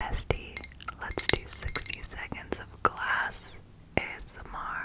Bestie, let's do 60 seconds of glass ASMR.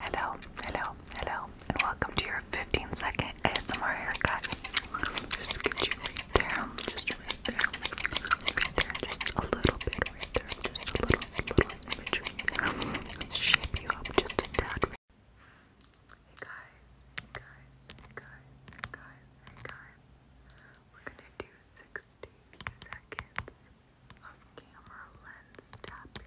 Hello, hello, hello, and welcome to your 15 second ASMR haircut. Just get you there, just right there, there, just a little bit just a little, little symmetry. Let's shape you up just a tad. Hey guys, guys, guys, guys, hey guys. We're gonna do 60 seconds of camera lens tapping.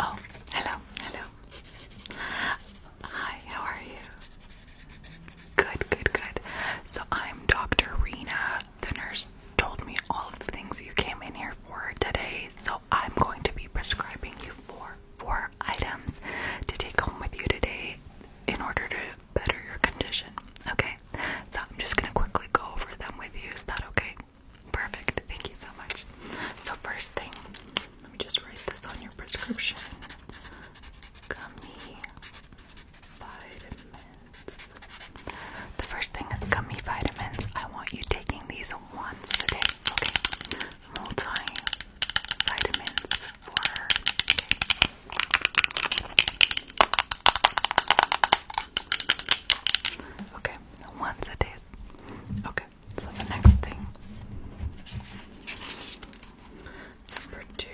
Oh, hello, hello. Hi, how are you? Good, good, good. So I'm Dr. Rena the nurse told me all of the things you came in here for today, so I'm going to be prescribing you for four items to take home with you today in order to better your condition. Okay? So I'm just gonna quickly go over them with you. Is that okay? Perfect. Thank you so much. So first thing, let me just write this on your prescription. vitamin the first thing is gummy vitamins. I want you taking these once a day, okay? Multi for her. Okay, once a day. Okay, so the next thing. Number two.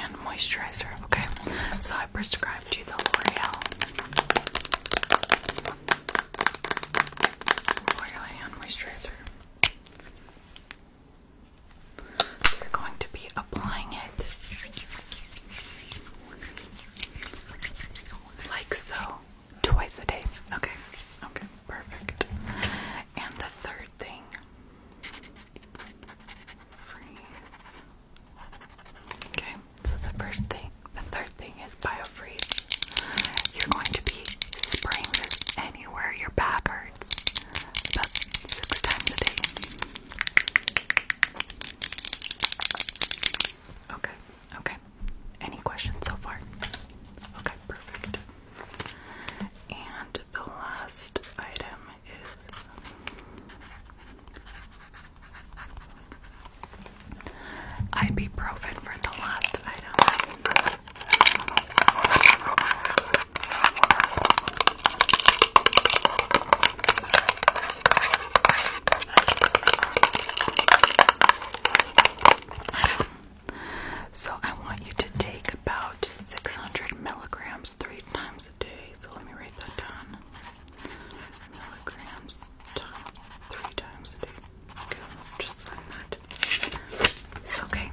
And moisturizer. Okay, so I prescribed you the L'Oreal. L'Oreal hand moisturizer. you're going to be applying it like so, twice a day. Okay, okay, perfect. And the third thing freeze. Okay, so the first thing, the third thing is biofreeze. You're going to be spraying this anywhere your back hurts six times a day. Okay, okay. Any questions so far? Okay, perfect. And the last item is ibuprofen for the last item. So I want you to take about 600 milligrams three times a day. So let me write that down. Milligrams times three times a day. just sign that. Okay,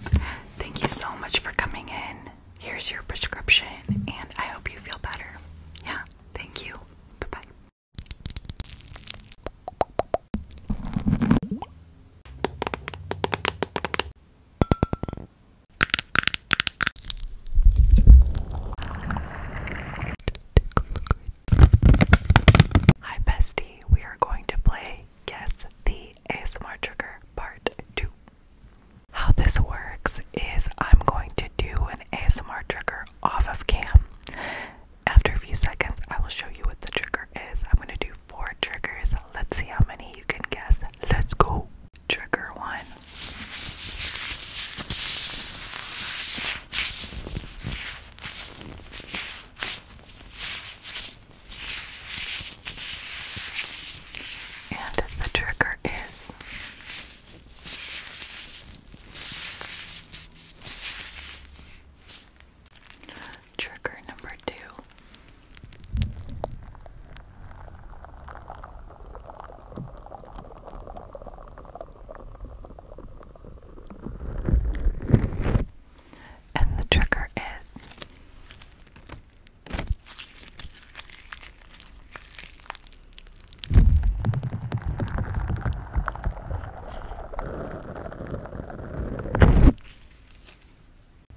thank you so much for coming in. Here's your prescription, and I hope you feel better. Yeah, thank you. Bye bye. Hi, bestie. We are going to play Guess the ASMR Trigger Part 2. How this works is I'm going to do an ASMR trigger off of cam. After a few seconds, I will show you what the trigger is. I'm going to do four triggers. Let's see how many you can guess. Let's go. Trigger one. And the trigger is Trigger number two. And the trigger is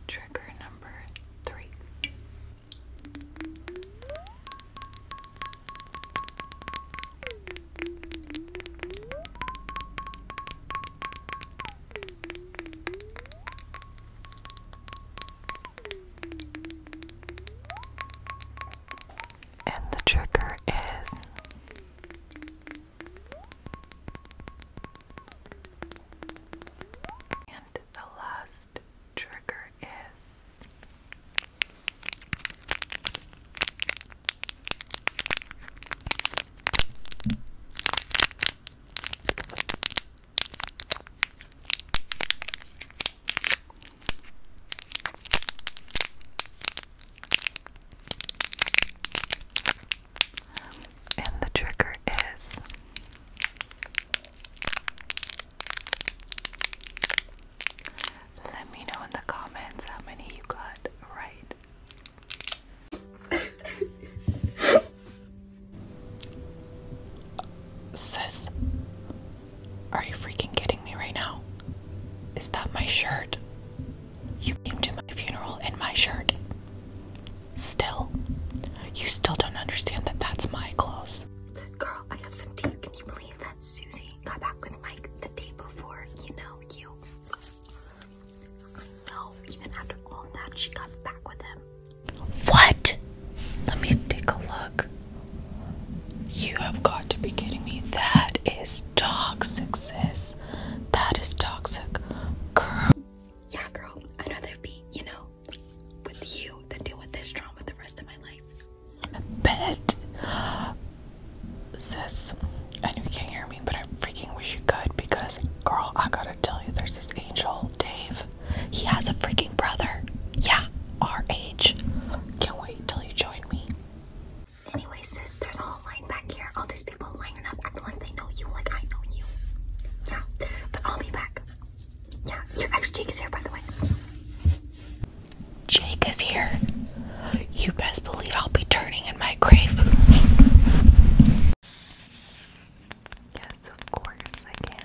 Trigger number three. And the trigger is and the last trigger is and the trigger is let me know in the comments how many you got right. Sis, are you freaking kidding me right now? Is that my shirt? You came to my funeral in my shirt. Still, you still don't understand that that's my clothes. Girl, I have some tea. Can you believe that Susie got back with Mike the day before? You know, you. I even after all that, she got back with him. What? Let me take a look. You have got to be kidding me. That is toxic, sis. That is toxic. Girl yeah, girl, I'd know be, you know, with you than deal with this trauma the rest of my life. Bet. Sis, I know you can't hear me, but I freaking wish you could because, girl, I gotta tell you, there's this angel, Dave. He has a freaking brother. Yeah, our age. Can't wait till you join me. Anyway, sis, there's a lying back here. All these people lining up, once they know you, like I know you. Yeah, but I'll be back. Yeah, your ex Jake is here, by the way. Jake is here. You best believe I'll be turning in my grave. Yes, of course I can.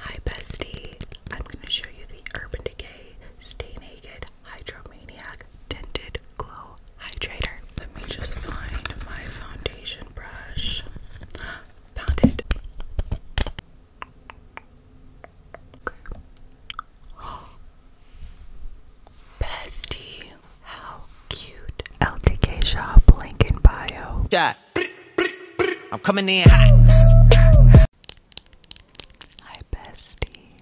Hi, bestie. I'm going to show you the Urban Decay Stay Naked Hydromaniac Tinted Glow Hydrator. Let me just find my foundation brush. Found it. Bestie. How cute. LTK shop. Link bio. I'm coming in hot. Hi, bestie.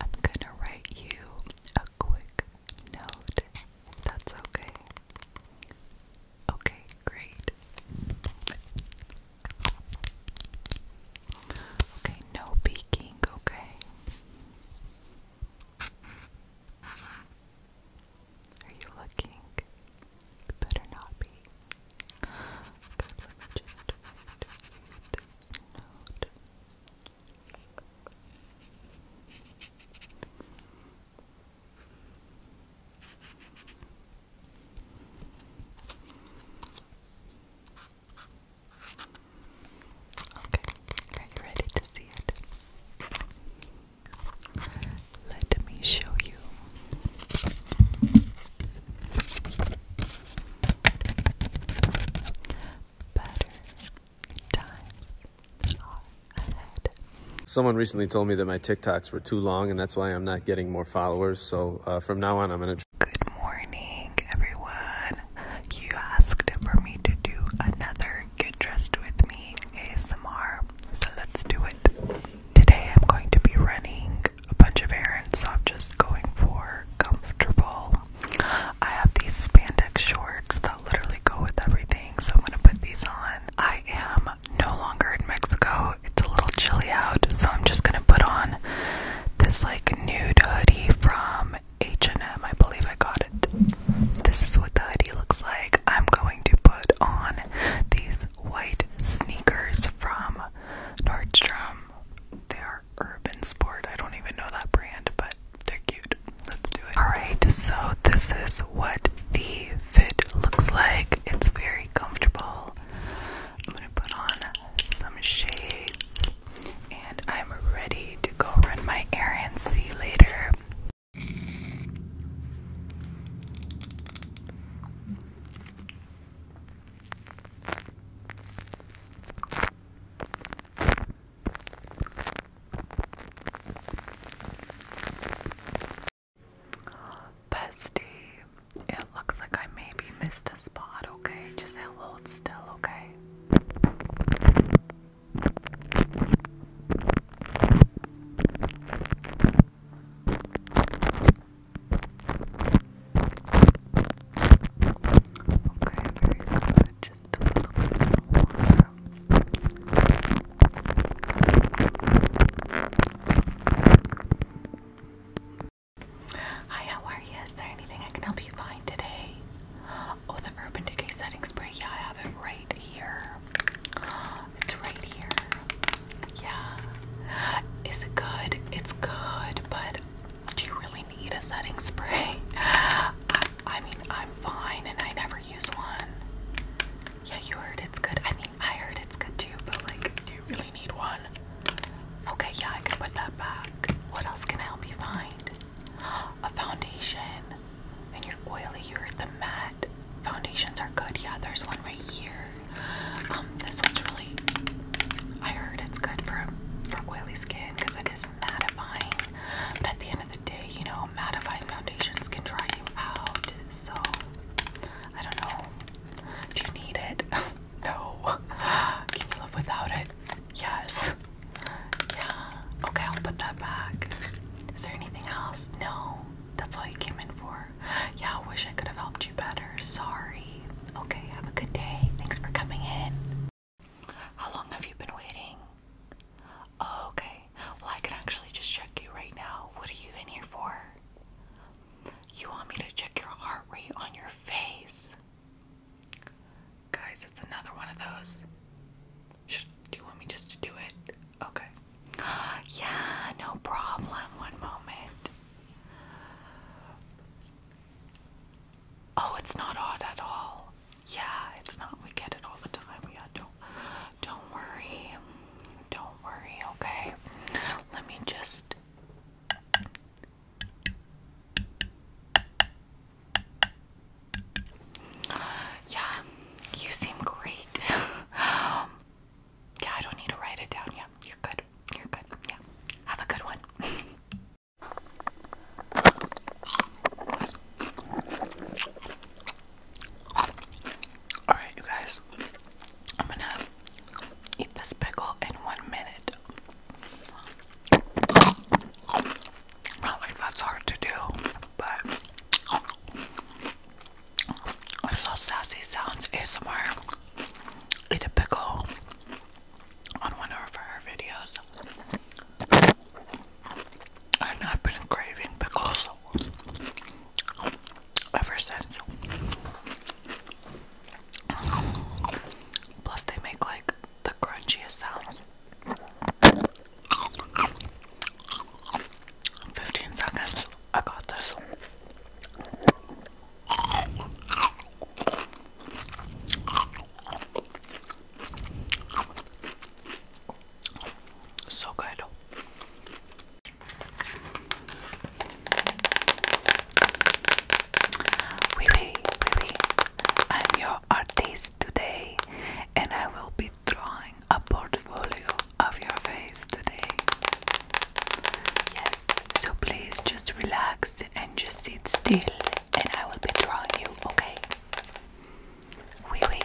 I'm gonna write you a quick note. That's okay. Okay, great. Okay, no peeking, okay? Are you looking? better not be. just write you note. Okay, are you ready to see it? Let me show you. Someone recently told me that my TikToks were too long, and that's why I'm not getting more followers. So uh, from now on, I'm going to. Good morning, everyone. You asked for me to do another Get Dressed With Me ASMR, so let's do it. Today, I'm going to be running a bunch of errands, so I'm just going for comfortable I have these spandex shorts that literally go with everything, so I'm gonna put these on. I am no longer in Mexico, it's a little chilly out, so I'm just gonna put on this like nude hoodie from H&M, I believe I got it. This is what the hoodie looks like. I'm going to put on these white sneakers from Nordstrom. They're Urban Sport. I don't even know that brand, but they're cute. Let's do it. Alright, so this is what the fit looks like. It's very comfortable. I'm gonna put on some shades and I'm ready to go run my errands. See you later. Bestie, it looks like I maybe missed a spot, okay? Just hold still, okay? Okay, very good. Just Hi, how are you? Is there anything I can help you find today? Oh, the Urban Decay Setting Spray. Yeah, I have it right here. It's right here. Yeah. Is it good? It's good, but do you really need a setting spray? I, mean, I'm fine and I never use one. Yeah, you heard it's good. I mean, I heard it's good too, but like, do you really need one? Okay, yeah, I can put that back. What else can I help you find? A foundation. And you're oily, you heard the matte. Foundations are good. Yeah, there's one right here. Um, this one's really. I heard it's good for for oily skin because it is is mattifying, but at the end of the day, you know, mattifying foundations can dry you out. So I don't know. Do you need it? no. Can you live without it? Yes. Yeah. Okay, I'll put that back. Is there anything else? No. That's all you came in for. Yeah, I wish I could have helped you better. Sorry. Okay, have a good day. Thanks for coming in. How long have you been waiting? Oh, okay. Well, I can actually just check you right now. What are you in here for? You want me to check your heart rate on your face? Guys, it's another one of those. do you want me just to do it? Okay. Yeah, no problem. One moment. Oh, it's not odd at all. Yeah, it's not. We get it all the time. Yeah, don't don't worry. Don't worry, okay? Let me just Yeah, you seem great. yeah, I don't need to write it down. Yeah, you're good. You're good. Yeah. Have a good one. Alright, you guys, I'm gonna eat this pickle in one minute. Not like that's hard to do, but I saw Sassy Sounds ASMR eat a pickle on one of her videos. And I've been craving pickles ever since. Plus, they make like the crunchiest sounds. 15 seconds. I got this. So good. Wee wee, I'm your artist today, and I will be drawing a portfolio of your face today. Yes, so please just relax and just sit still, and I will be drawing you, okay? Oui, oui.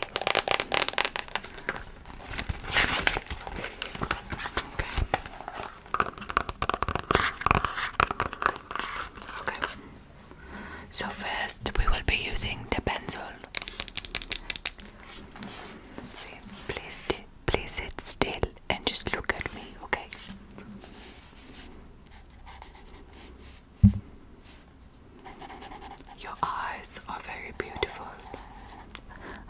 Okay. Okay. So first we will be using the pencil. Let's see. Please, please sit still and just look at me, okay? Your eyes are very beautiful.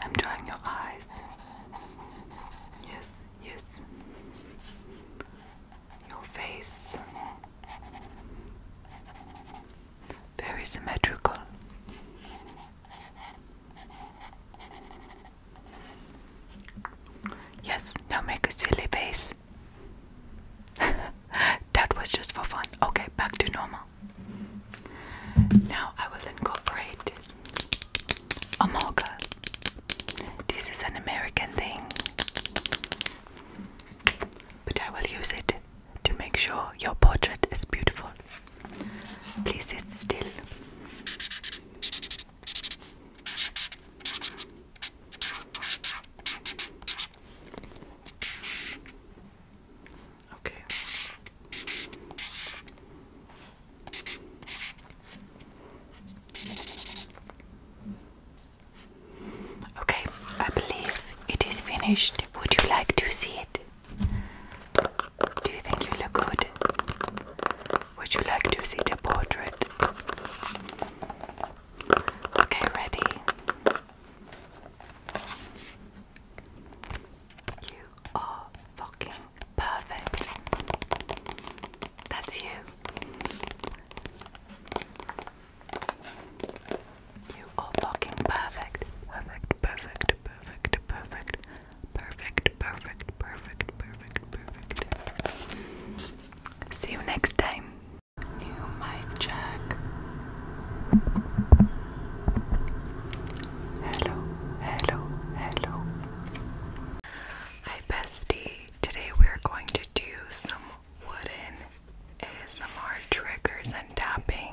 I'm drying your eyes. Yes, yes. Your face. Very symmetrical. Yes, now make a silly face. that was just for fun. Okay, back to normal. Now I will incorporate Amolga. This is an American thing, but I will use it to make sure your portrait is beautiful. Please sit still. Okay. Okay, I believe it is finished. Would you like to see it? Do you think you look good? Would you like to see the portrait? Okay, ready? You are fucking perfect. That's you. You are fucking perfect. Perfect, perfect, perfect, perfect, perfect, perfect, perfect, perfect, perfect. See you next time. New mic check. Hello, hello, hello. Hi, bestie. Today we're going to do some wooden ASMR triggers and tapping.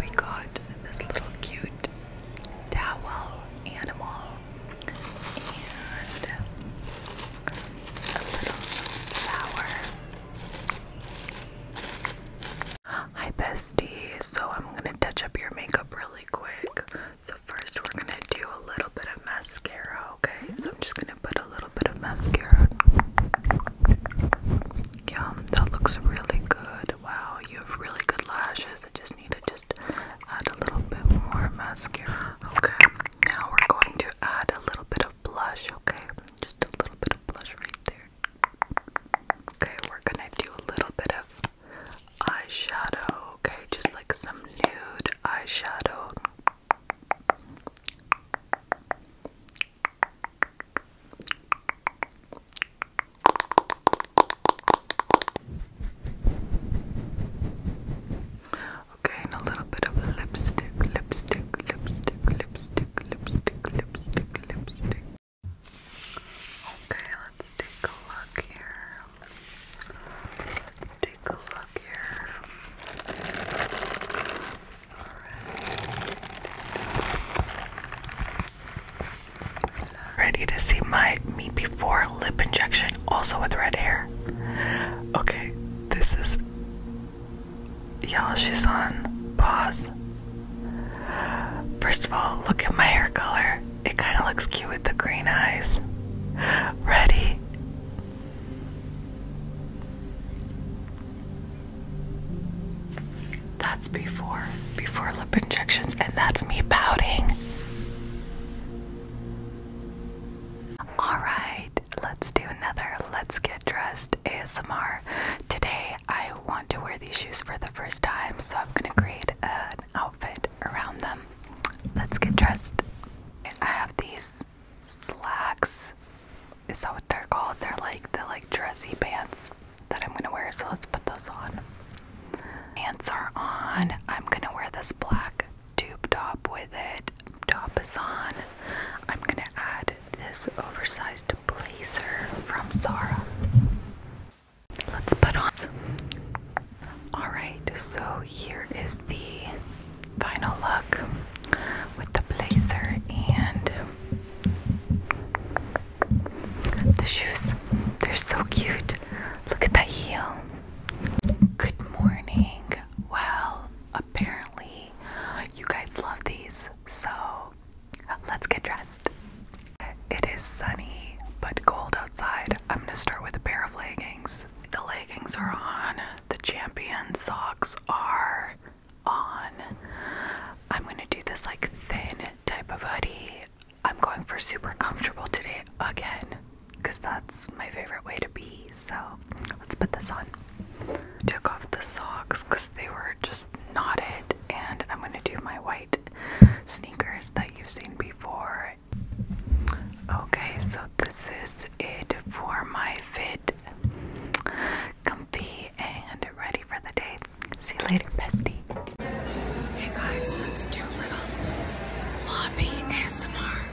We got this little cute towel animal Hi, bestie. So, I'm gonna touch up your makeup really quick. So, first, we're gonna do a little bit of mascara, okay? So, I'm just gonna put a little bit of mascara. Yum, that looks really good. Wow, you have really good lashes. I just need to just add a little bit more mascara. Okay, now we're going to add a little bit of blush, okay? Just a little bit of blush right there. Okay, we're gonna do a little bit of eyeshadow, okay? Just like some nude eyeshadow. Okay, and a little bit of lipstick, lipstick, lipstick, lipstick, lipstick, lipstick, lipstick. Okay, let's take a look here. Let's take a look here. Alright. Ready to see my me before lip injection, also with red hair? Okay, this is. Y'all, she's on pause. First of all, look at my hair color. It kind of looks cute with the green eyes. Ready? That's before, before lip injections, and that's me pouting. Alright, let's do another Let's Get Dressed ASMR. Today I want to wear these shoes for the first time, so I'm gonna create an outfit around them. Let's get dressed. I have these slacks. Is that what they're called? They're like the like dressy pants that I'm gonna wear, so let's put those on. Pants are on. I'm gonna wear this black tube top with it. Top is on. I'm gonna add this oversized blazer from Zara. Let's put on. Alright, so here is the final look with the blazer and the shoes. They're so cute. Look at that heel. Good morning well, apparently you guys love these, so let's get dressed. It is sunny but cold outside. I'm gonna start with a pair of leggings. The leggings are on, the champion socks are on. I'm gonna do this like thin type of hoodie. I'm going for super comfortable today again because that's my favorite way to be. So let's put this on. Took off the socks because they were just knotted, and I'm gonna do my white sneakers that you've seen before. Okay, so this is it for my fit. Comfy and ready for the day. See you later, bestie. Hey guys, let's lobby ASMR.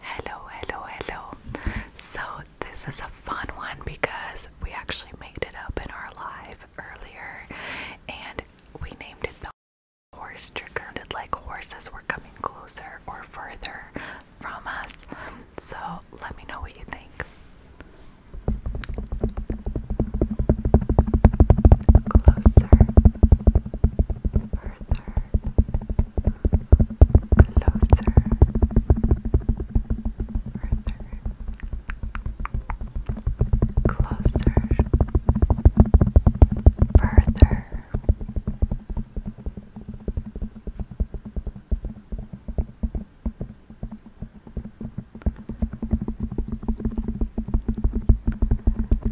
Hello, hello, hello. So, this is a fun one because we actually made it up in our live earlier and we named it the horse trigger. It like horses were coming closer or further from us. So, let me know what you think. Closer further, closer, further, closer, further.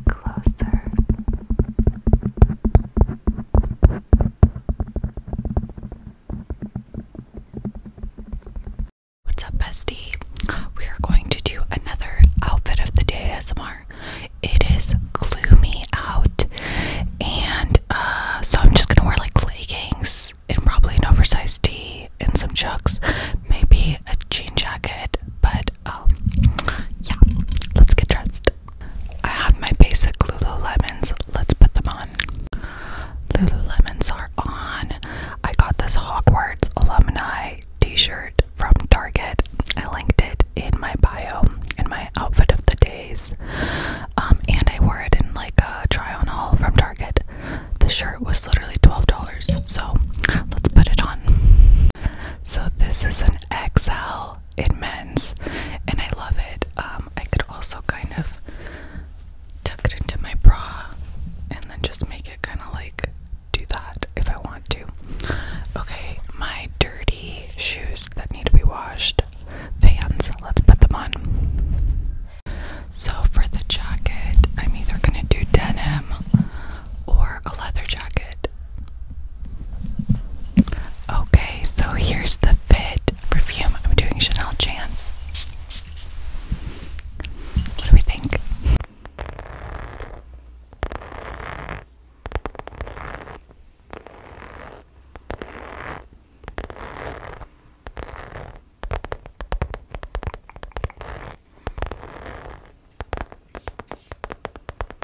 Closer, What's up, bestie? We are going to do another outfit of the day ASMR. It is gloomy out, and uh, so I'm just gonna wear like leggings and probably an oversized tee and some chucks, maybe a jean jacket. But um, yeah, let's get dressed. I have my basic Lululemons. Let's put them on. Lululemons are on. I got this Hogwarts alumni t-shirt from Target. I linked it in my bio in my outfit of the days. Um, and I wore it in like a try-on haul from Target. The shirt was literally $12. So let's put it on. So this is an XL in men's, and I love it. Um, I could also kind of tuck it into my bra and then just make it kind of like do that if I want to. Okay, my dirty shoes that need to be washed, fans, let's put them on. So, for the jacket, I'm either gonna do denim or a leather jacket. Okay, so here's the Fit perfume. I'm doing Chanel Chance. What do we think?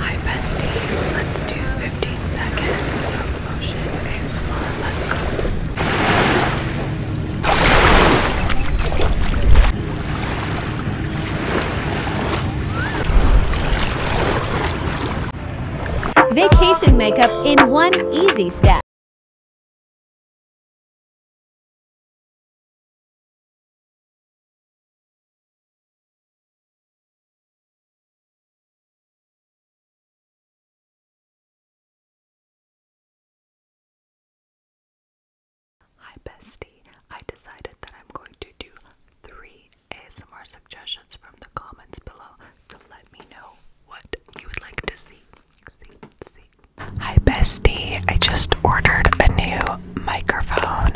Hi bestie, let's do 15 seconds Vacation makeup in one easy step. Hi, bestie. I decided that I'm going to do three ASMR suggestions from the comments below, so let me know what you would like to see. Hi, bestie. I just ordered a new microphone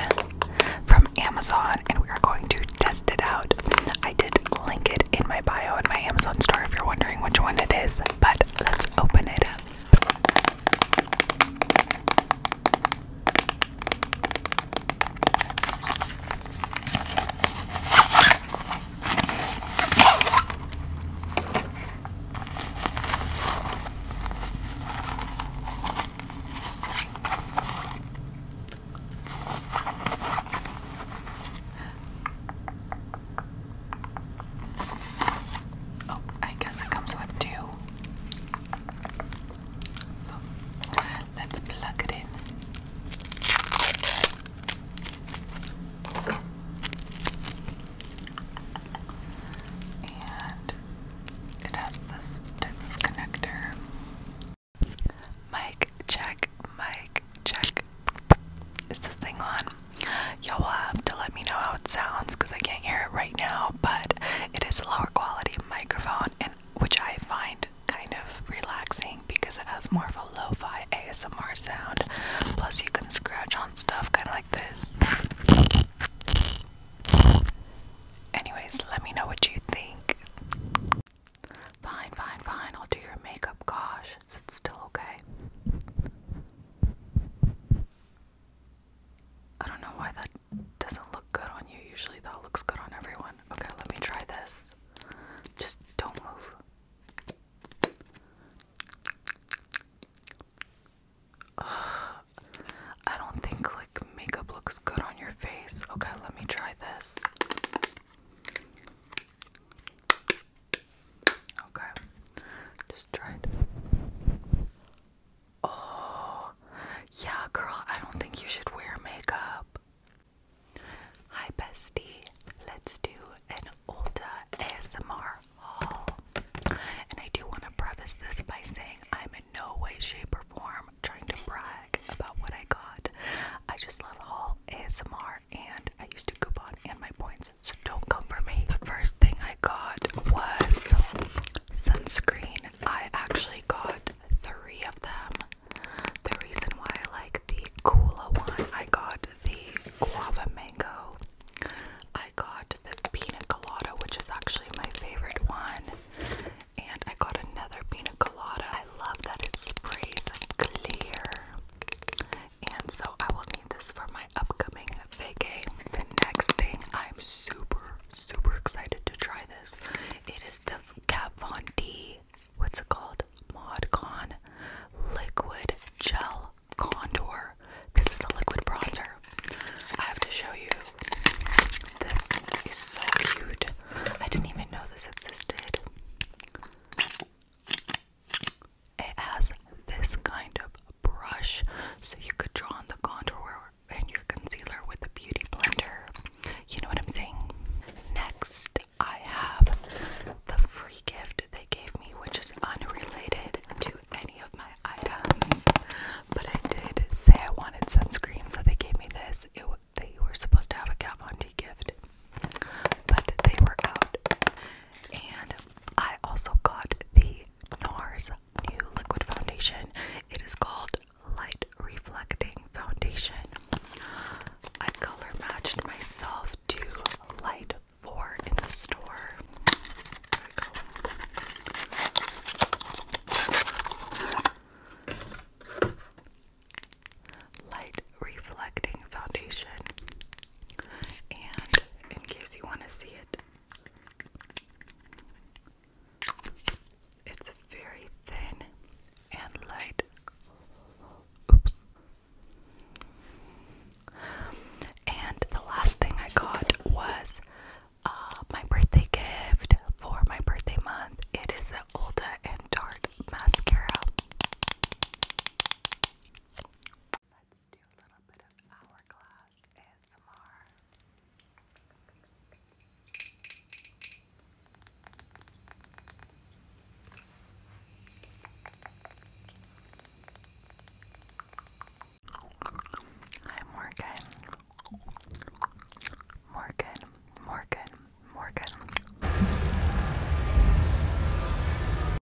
from Amazon and we are going to test it out. I did link it in my bio in my Amazon store if you're wondering which one it is. But let's open it up. Oh, I guess it comes with two. So let's plug it in. And it has this type of connector. Mic check, mic check, Is this thing on? Y'all will have to let me know how it sounds because I can't hear it right now, but it is a lower quality microphone, and which I find kind of relaxing because it has more of a lo fi ASMR sound. Plus, you can scratch on stuff kind of like this. Anyways, let me know what you think. Fine, fine, fine. I'll do your makeup. Gosh, emotions. It's still okay. I don't know why that doesn't look good on you. Usually that looks good on everyone. Okay, let me try this. Just don't move. I don't think like makeup looks good on your face. Okay, let me try this. Okay, just try it. Oh, yeah, girl, I don't think you should wear makeup. Hi, bestie. Let's do an Ulta ASMR haul. And I do want to preface this by saying I'm in no way, shape, or form trying to brag about what I got. I just love haul ASMR and I used to coupon and my points, so don't come for me. The first thing I got was sunscreen. I actually got three of them. The reason why I like the Kula one, I got the guava mango. I got the pina colada, which is actually my favorite one. And I got another pina colada. I love that it sprays clear and so I will need this for my upcoming vacay. The next thing I'm super, super excited to try this. It is the Kat Von D, what's it called? Mod Con Liquid Gel Contour. This is a liquid bronzer. I have to show you. This is so cute. I didn't even know this existed it has this kind of brush so you could draw on the contour and your concealer with the beauty blender you know what i'm saying next i have the free gift they gave me which is unrelated to any of my items but i did say i wanted sunscreen so they gave me this it, they were supposed to have a cap on tea gift but they were out. And I also got the NARS new liquid foundation. It is called Light Reflecting Foundation. I color matched myself to Light 4 in the store. Light reflecting foundation. And in case you want to see it, it's very thin and light. Oops. And the last thing I got was uh, my birthday gift for my birthday month. It is an Ulta and Tarte mascara. Let's do a little bit of hourglass ASMR. Hi Morgan. Morgan, Morgan, Morgan.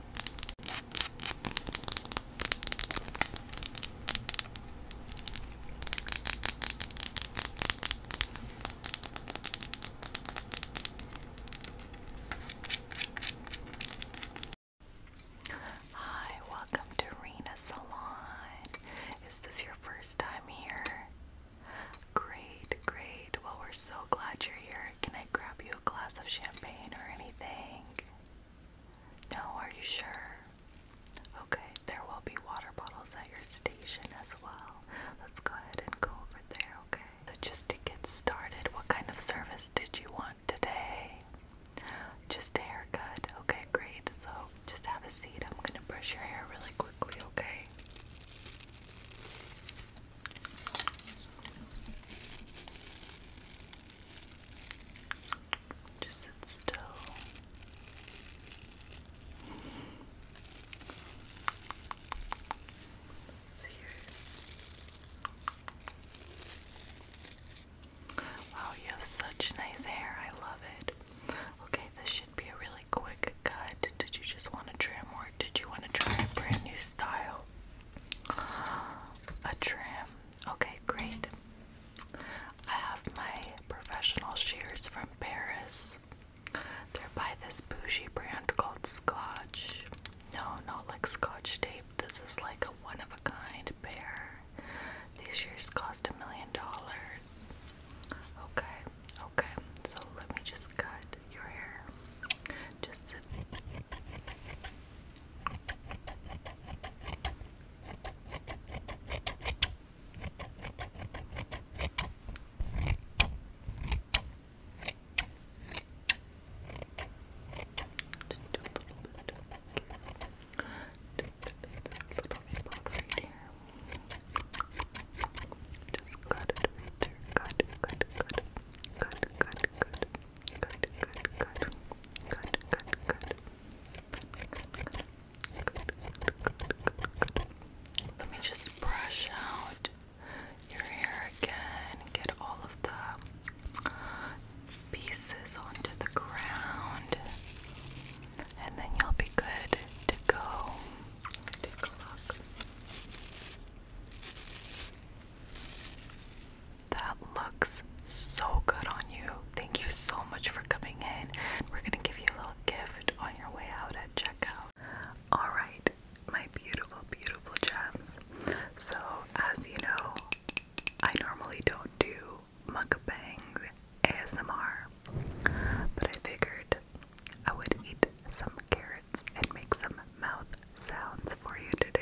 Hi, welcome to Rena Salon. Is this your first time here? Great, great. Well, we're so glad you're here. Can I grab you a glass of champagne or anything? No, are you sure? Okay, there will be water bottles at your station as well. Let's go ahead and go over there, okay? So, just to get started, what kind of service did you want today? Just a haircut. Okay, great. So, just have a seat. I'm gonna brush your hair really quickly, okay? Just sit still. Wow, you have such nice hair. I love it. Okay, this should be a really quick cut. Did you just want to trim or did you want to try a brand new style? A trim Okay, great. I have my professional shears from Paris. They're by this bougie brand called Scotch. No, not like Scotch tape. This is like a one of a kind pair. These shears cost a million dollars. Okay, okay. So let me just cut your hair. Just sit. Just do a little bit. This little spot right here. Just cut it right there. Cut, cut, cut, cut, cut, cut. Let me just brush out your hair again, get all of the pieces onto the ground, and then you'll be good to go. Take a look. That looks so good on you. Thank you so much for coming in. We're gonna give you a little gift on your way out at checkout. Alright, my beautiful, beautiful gems. So, as you know, I normally don't do mukbangs ASMR, but I figured I would eat some carrots and make some mouth sounds for you today.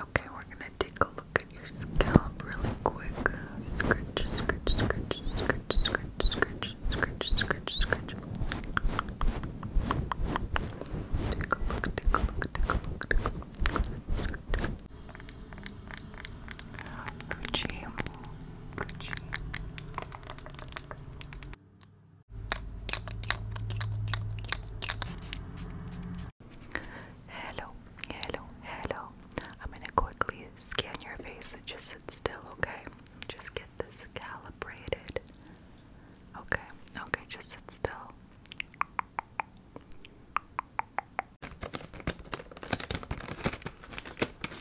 Okay, we're gonna take a look at your scalp really quick. Scratch, scratch, scratch, scratch, scratch, scratch, scratch, scratch, scratch. Take a look, take a look, take a look, take a look. Hello, hello, hello. I'm gonna quickly scan your face just sit still, okay? Just get this calibrated. Okay, okay, just sit still.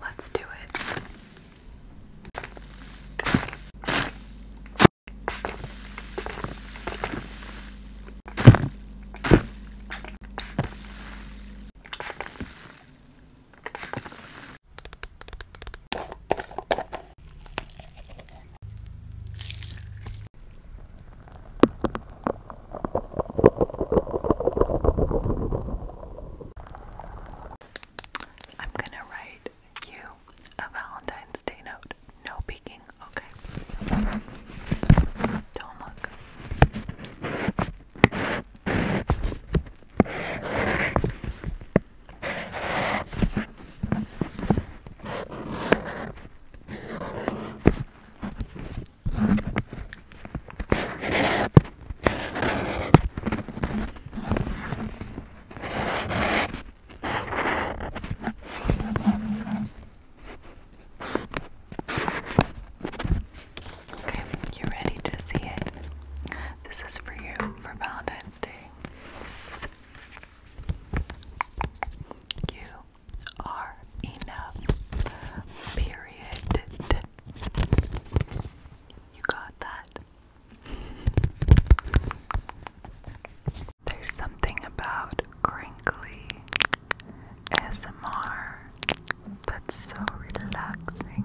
Let's do it. I'm gonna write you a Valentine's Day note. No peeking, okay? Don't look. Okay, you're ready to see it. This is for you for Valentine's Day. You are enough. Period. You got that? There's something about crinkly S M R that's so relaxing.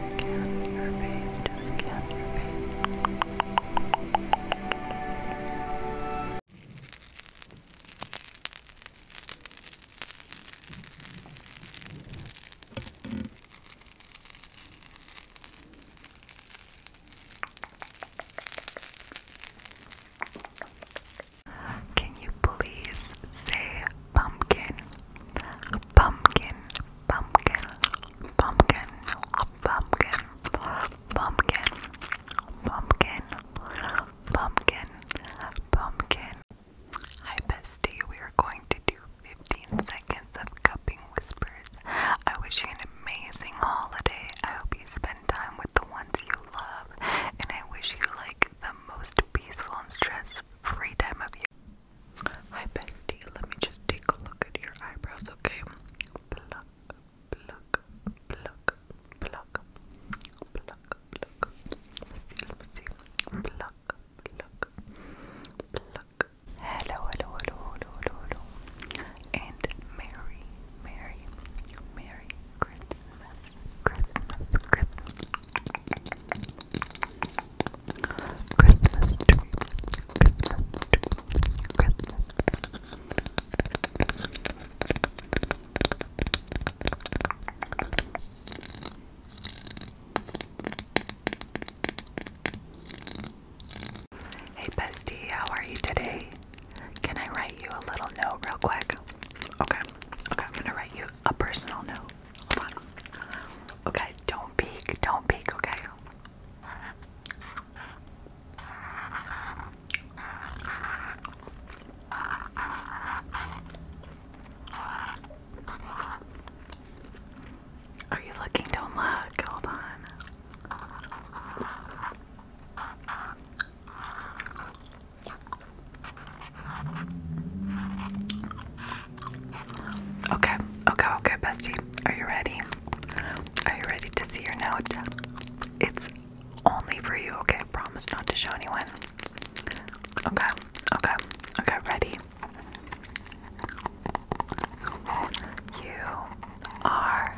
Scan your face, just your face. Can you please say pumpkin? Pumpkin, pumpkin, pumpkin, pumpkin, pumpkin, pumpkin, pumpkin, pumpkin. Hi, bestie. We are going to do 15 seconds of cupping whispers. I wish you an amazing holiday. I hope you spend time with the ones you love, and I wish you like the most peaceful and stress free time of you. Hi, bestie. Let me just take a look at your eyebrows, okay? Pluck, pluck, pluck, pluck, pluck, pluck. let hello, hello, hello, hello, hello. And Merry, Merry, Merry Christmas, Christmas, Christmas, Christmas tree, Christmas tree, Christmas. Hey bestie, how are you today? Can I write you a little note real quick? Okay, okay, I'm gonna write you a personal note. Okay, don't peek, don't peek, okay? Are you looking? Don't look. Hold on. Okay, okay, okay, bestie. Are you ready? Are you ready to see your note? It's only for you, okay? promise not to show anyone. Okay, okay, okay, ready. You are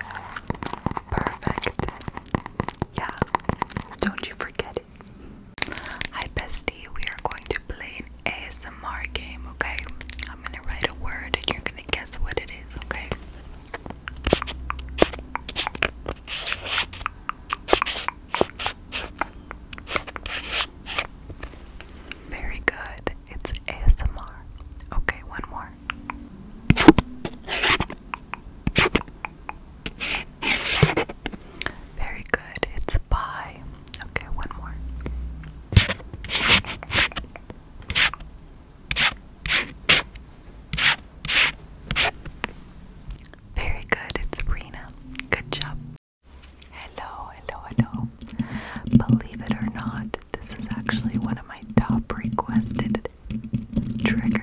perfect. Yeah, don't you forget it. Hi bestie, we are going to play an ASMR game, okay? I'm gonna write a word and you're gonna guess what it is, okay? Very good. It's ASMR. Okay, one more. Very good. It's pie. Okay, one more. Very good. It's Rena. Good job. Hello, hello, hello. Believe it or not, this is actually one of my top requested triggers.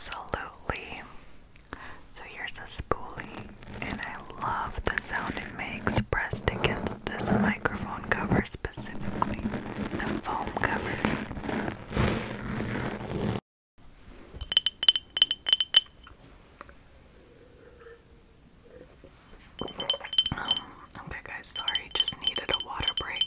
Absolutely. So here's a spoolie, and I love the sound it makes pressed against this microphone cover, specifically the foam cover. Um, okay, guys, sorry, just needed a water break.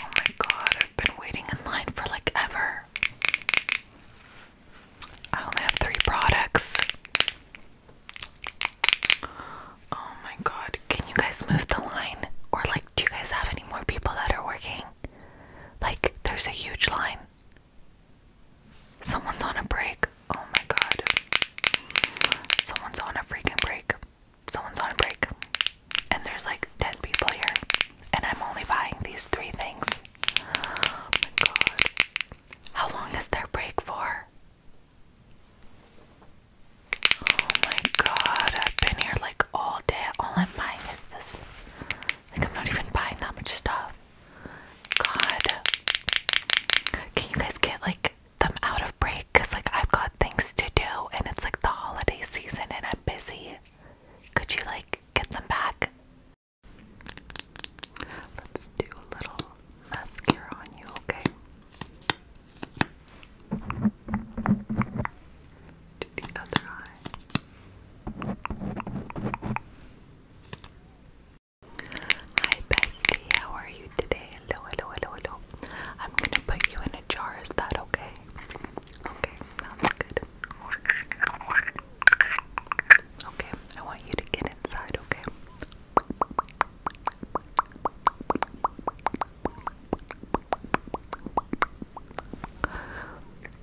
Oh my god, I've been waiting in line for like ever. I only have three products. Oh my god, can you guys move the line? Or, like, do you guys have any more people that are working? Like, there's a huge line. Someone's on a break. Oh my god. Someone's on a freaking break. Someone's on a break. And there's like 10 people here. And I'm only buying these three things. Oh my god. How long is their break for? Oh my god. I've been here like all day. All I'm buying is this. Like, I'm not even buying that much stuff. God. Can you guys get like them out of break? Because like I've got things to do and it's like the holiday season and I'm busy. Could you like get them back? Let's do a little mascara on you, okay? Let's do the other eye. Hi bestie, how are you today? Hello, hello, hello, hello. I'm gonna put you in a jar, is that okay? Okay, sounds good. Okay, I want you to get inside, okay?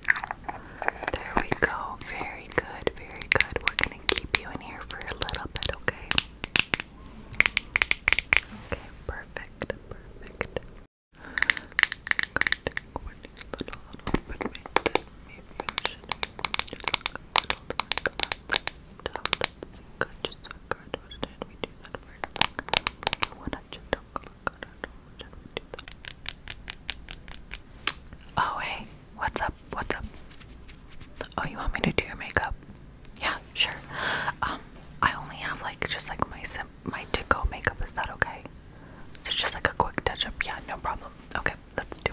There we go. Very good, very good. We're gonna keep you in here for a little bit, okay? Okay, perfect, perfect. So going to go a little bit like this. Maybe I should just so I can understand we do that first. I wanna just talk a little bit. Oh, hey, what's up? What's up? Oh, you want me to do your makeup? Yeah, sure. Um, I only have like just like my sim my to go makeup. Is that okay? So just like a quick touch up. Yeah, no problem. Okay, let's do.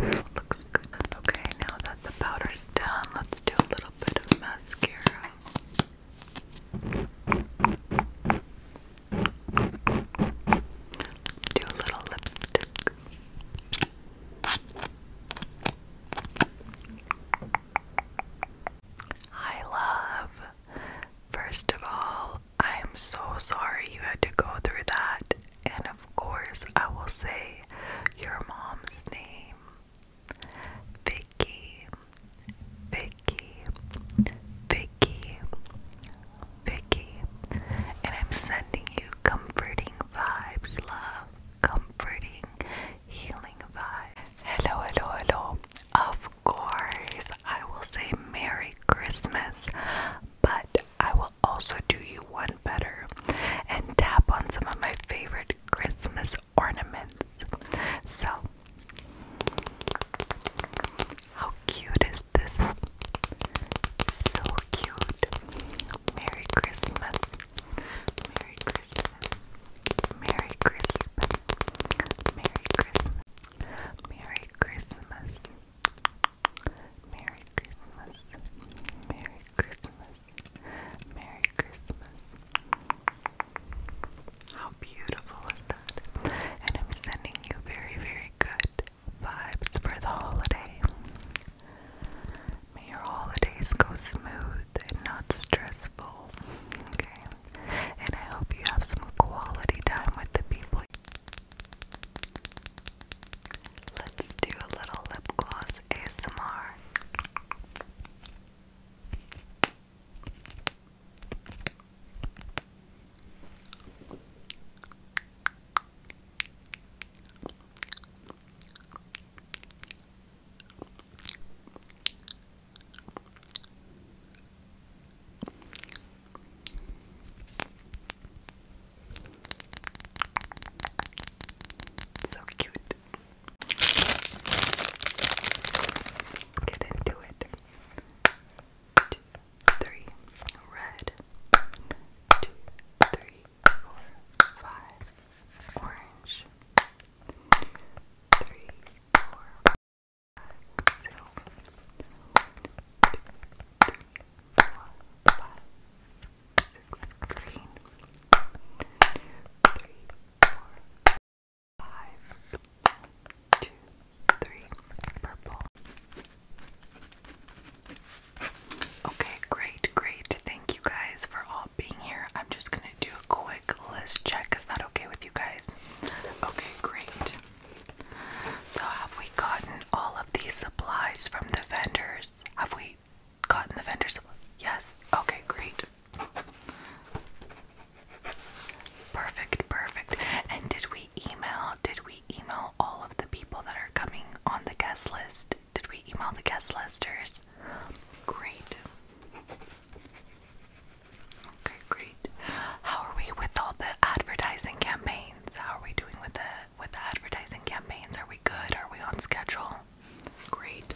Looks good. Okay, now that the powder's done, let's do a little bit of mascara. Let's do a little lipstick. Hi, love. First of all, I am so sorry you had to go through that, and of course, I will say your mom's name. Vicky, Vicky, Vicky, Vicky. And I'm sending you comforting vibes, love. Comforting, healing vibes. Hello, hello, hello. Of course, I will say Merry Christmas, but I will also do you one better and tap on some of my favorite Christmas ornaments. So, how cute is this? So cute. Merry Christmas. Merry Christmas. Merry Christmas. Merry Christmas. Merry Christmas. Merry Christmas. Merry Christmas. How beautiful is that? And I'm sending you very, very good vibes for the holiday. May your holidays go smooth and not stressful. Okay? And I hope you have some quality time with the people. Let's do a little lip gloss ASMR. So cute. Get into it. Two, red. Two, three, four, five, orange. Three, four, five, six six, green, three, four, five, two, three, purple. Okay, great, great. Thank you guys for all being here. I'm just gonna do a quick list check. Is that okay with you guys? Okay, great. So, have we gotten all of these supplies from the vendors? Have we gotten the vendor's yes okay great perfect perfect and did we email did we email all of the people that are coming on the guest list did we email the guest listers great okay great how are we with all the advertising campaigns how are we doing with the with the advertising campaigns are we good are we on schedule Great.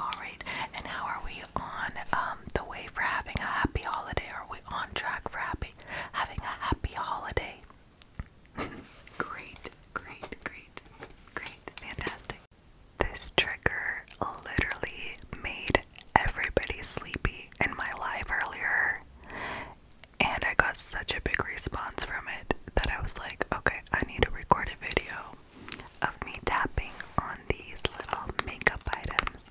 Alright, and how are we on um, the way for having a happy holiday? Are we on track for having a happy holiday? great, great, great, great, fantastic. This trigger literally made everybody sleepy in my live earlier, and I got such a big response from it that I was like, okay, I need to record a video of me tapping on these little makeup items.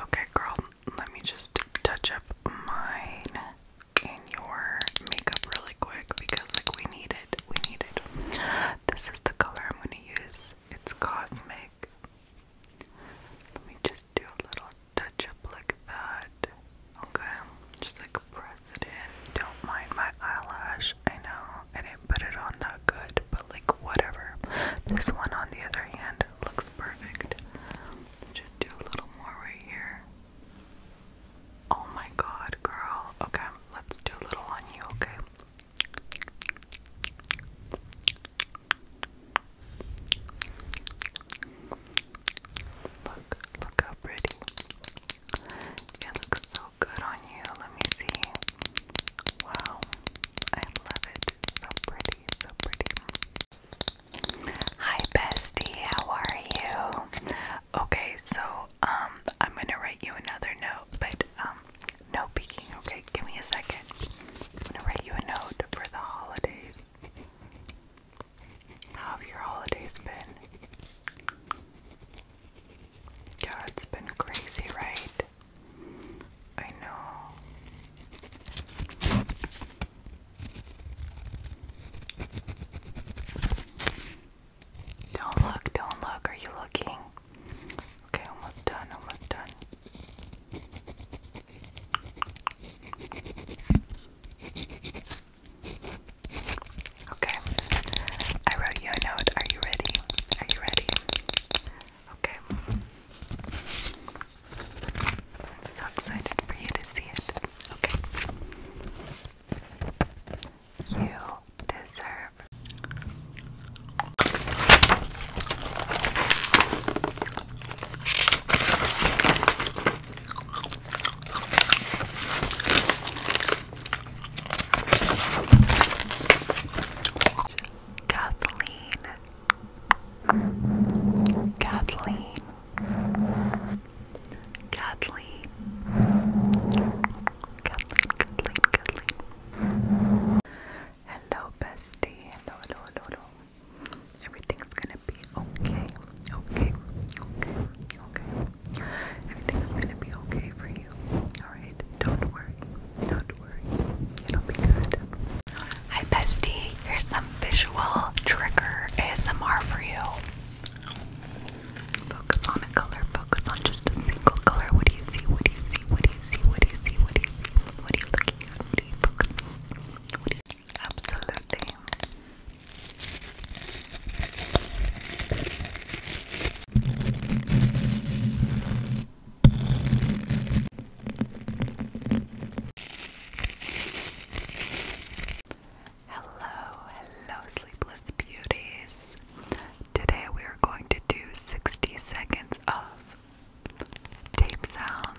Okay, girl, let me just touch up mine and your makeup really quick because, like, we need it. We need it. This is the color I'm going to use. It's Cosmic. Let me just do a little touch up like that. Okay, just like press it in. Don't mind my eyelash. I know put it on that good, but like whatever. This one, on the other hand, looks perfect. Just do a little more right here. Oh my god, girl. Okay, let's do a little on you, okay? Look, look how pretty. It looks so good on you. Let me see. Wow, I love it. So pretty, so pretty. Hi, bestie. How are you? Okay, so um, I'm gonna write you another note, but um, no peeking. Okay, give me a second. I'm gonna write you a note for the holidays. How have your holidays been? God, it's been crazy, right? I know. Don't look, don't look. Are you looking? Okay, almost done, almost done. Okay, I wrote you a note. Are you ready? Are you ready? Okay. I'm so excited for you to see it. Okay. You deserve. Kathleen Kathleen Kathleen Kathleen Kathleen Kathleen Hello bestie hello hello hello hello Everything's gonna be okay okay okay okay Everything's gonna be okay for you alright don't worry don't worry. will be good. Hi, bestie. Here's some visual trigger ASMR for you. Focus on a color. Focus on just a single color. What do you see? What do you see? What do you see? What do you see? What do you see? What are you looking at? What are you focusing Absolutely. Hello, hello, sleepless beauties. Today we are going to do 60 seconds of tape sounds.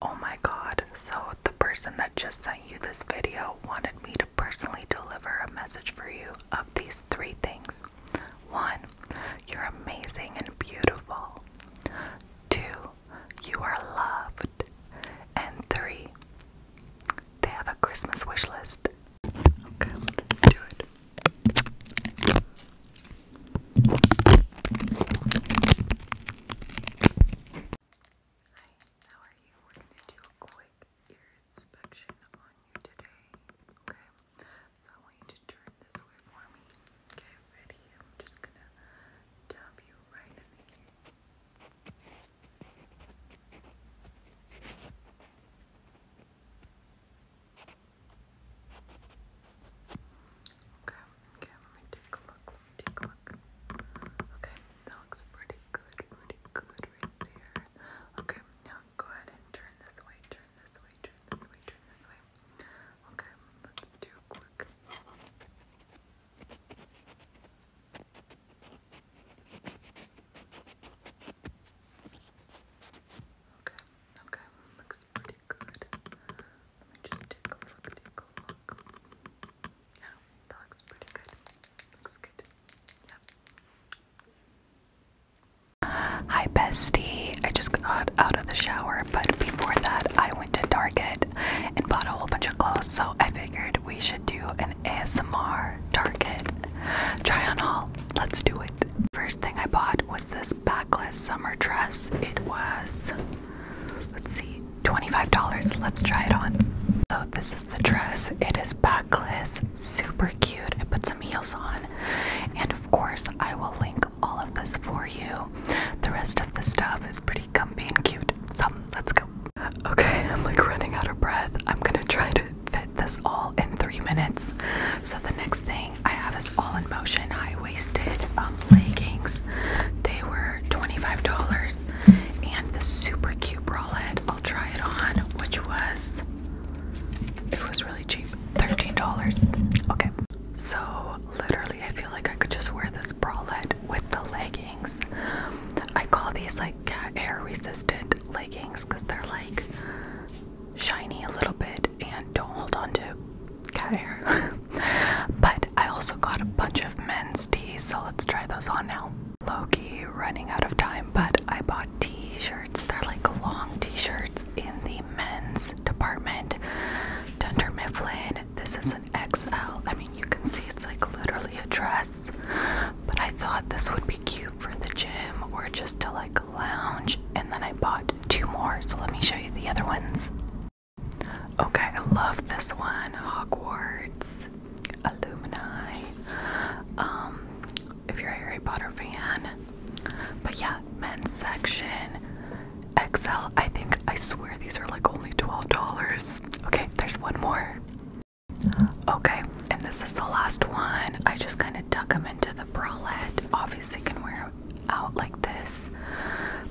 Oh my god, so the person that just sent you this video wanted me to personally deliver a message for you of these three things. One, you're amazing and beautiful. Two, you are loved. And three, they have a Christmas wish list. Okay, let's do it. Hi, how are you? We're gonna do a quick ear inspection on you today. Okay, so I want you to turn this way for me ready, I'm just gonna dab you right in the ear. Okay, okay, let me take a look, take a look. Okay, that looks pretty good, pretty good right there. Okay, now go ahead and turn this way, turn this way, turn this way, turn this way. Okay, let's do quick. Okay, okay, looks pretty good. Let me just take a look, take look. Yeah, that looks pretty good. Looks good. Yeah. Hi, bestie. I just got out of the shower, but before that, I went to Target and bought a whole bunch of clothes, so I figured we should do an ASMR Target try on haul. Let's do it. First thing I bought was this backless summer dress. It was, let's see, $25. Let's try it on. So, this is the dress. It is backless, super cute. I put some heels on, and of course, I will link all of this for you. The rest of the stuff is pretty come being cute. So let's go. Okay, I'm like running out of breath. I'm gonna try to fit this all in three minutes. So the next thing I have is all in motion high-waisted um, leggings. They were $25, and the super cute bralette. I'll try it on, which was it was really cheap, $13. Okay. So literally, I feel like I could just wear this bralette with the leggings. I call these like cat hair resistant leggings because they're like shiny a little bit and don't hold onto to cat hair. but I also got a bunch of men's tees, so let's try those on now. Loki running out of time, but I bought t-shirts. They're like long t-shirts in the men's department. Dunder Mifflin. This is XL. I mean, you can see it's like literally a dress, but I thought this would be cute for the gym or just to like lounge. And then I bought two more, so let me show you the other ones. Okay, I love this one Hogwarts Alumni. Um, if you're a Harry Potter fan, but yeah, men's section. XL. I think, I swear these are like only $12. Okay, there's one more. Okay, and this is the last one. I just kind of tuck them into the bralette. Obviously, can wear them out like this,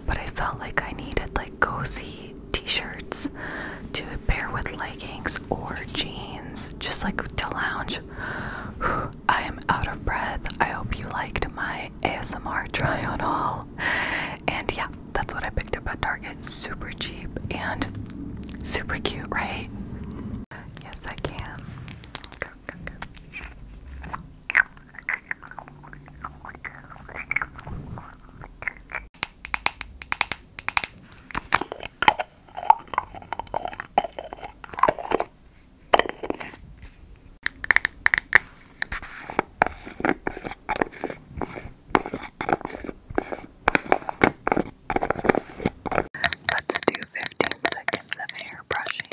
but I felt like I needed like cozy t-shirts to pair with leggings or jeans, just like to lounge. I am out of breath. I hope you liked my ASMR try on all. And yeah, that's what I picked up at Target. Super cheap and super cute, right? Yes, I can. Let's do 15 seconds of hair brushing.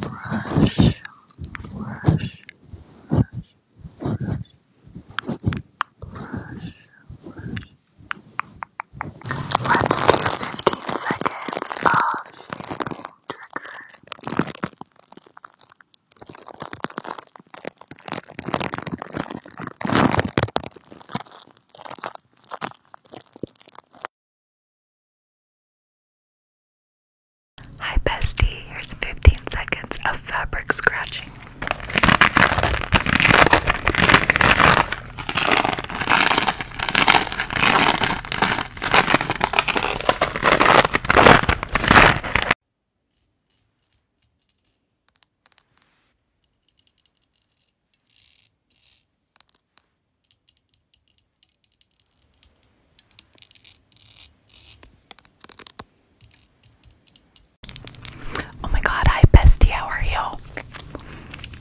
Brush, brush, brush, brush, brush, brush. Let's do 15 seconds of shaking trigger. Hi, bestie. Here's 15 seconds of fabric scratching. Oh my god, hi bestie, how are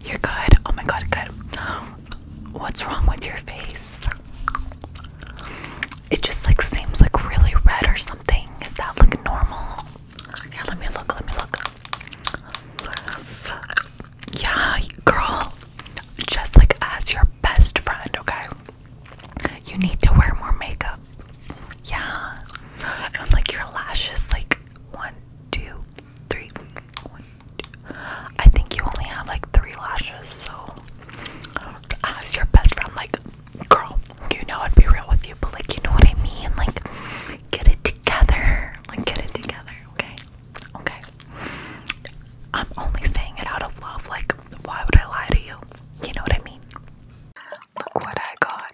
You're good. Oh my god, good. What's wrong with your face? it just like seems like really red or something. Is that like normal? Yeah, let me look, let me look. Yeah, girl, just like as your best friend, okay? You need to wear more makeup. Yeah. And like your lashes, like one, two, three, one, two. I think you only have like three lashes, so as ah, your best friend, like, girl, you know I'd be real with you, but like, you know what I mean? Like, get it together. Like, get it together, okay? Okay. I'm only saying it out of love. Like, why would I lie to you? You know what I mean? Look what I got.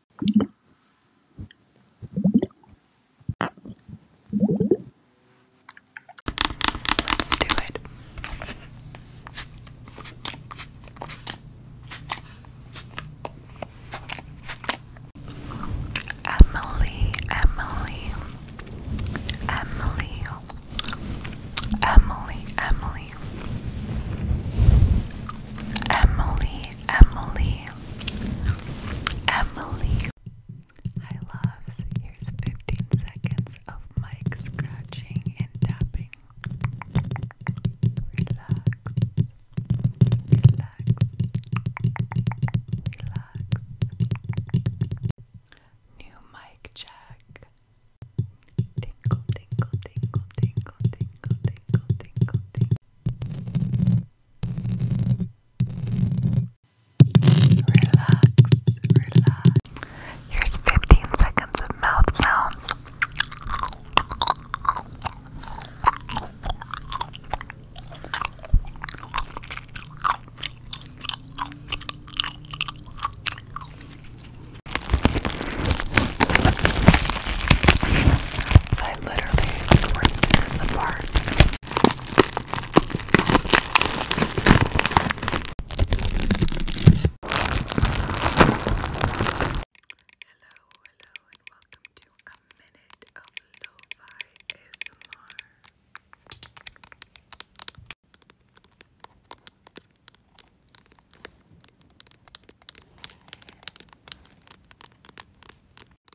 Let's do it. Emily, Emily, Emily, Emily, Emily, Emily, Emily, Emily. Hi, loves. Here's 15 seconds of Mike scratching and tapping. Relax. Relax. Relax. New mic check. Tinkle, tinkle, tinkle, tinkle, tinkle, tinkle, tinkle, tinkle. Relax, Here's 15 seconds of mouth sounds. I literally Hello, hello, and welcome to a minute of lo-fi ASMR.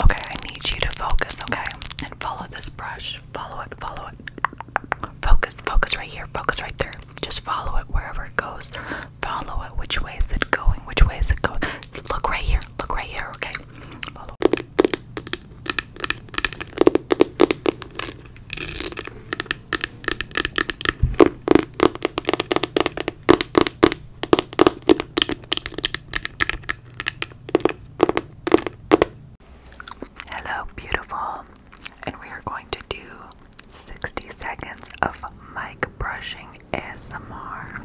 Okay, I need you to focus, okay? And follow this brush. Follow it, follow it. Focus, focus right here, focus right there. Just follow it wherever it goes. Follow it. Which way is it going? Which way is it going? Look right here. Look right here. Okay. Hello, beautiful and we are going to do 60 seconds of mic brushing ASMR.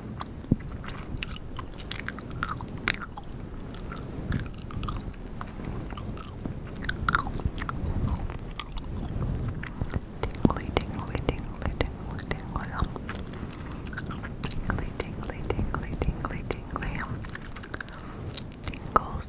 Tingly, tingly, tingly, tingly, tingly, tingly, tingly, tingly, tingly, tingles,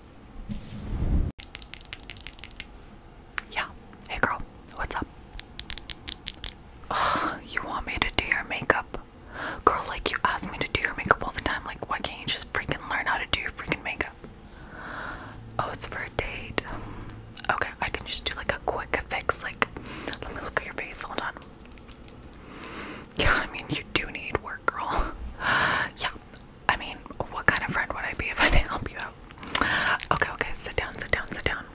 Yeah. Hey girl, what's up? you want me to do your makeup? Girl, like you ask me to do your makeup all the time. Like, why can't you just freaking learn how to do your freaking makeup? Oh, it's for a date. Okay, I can just do like a quick fix. Like, let me look at your face. Hold on. Yeah, I mean, you do need work, girl. yeah, I mean, what kind of friend would I be if I didn't help you out? Okay, okay, sit down, sit down, sit down.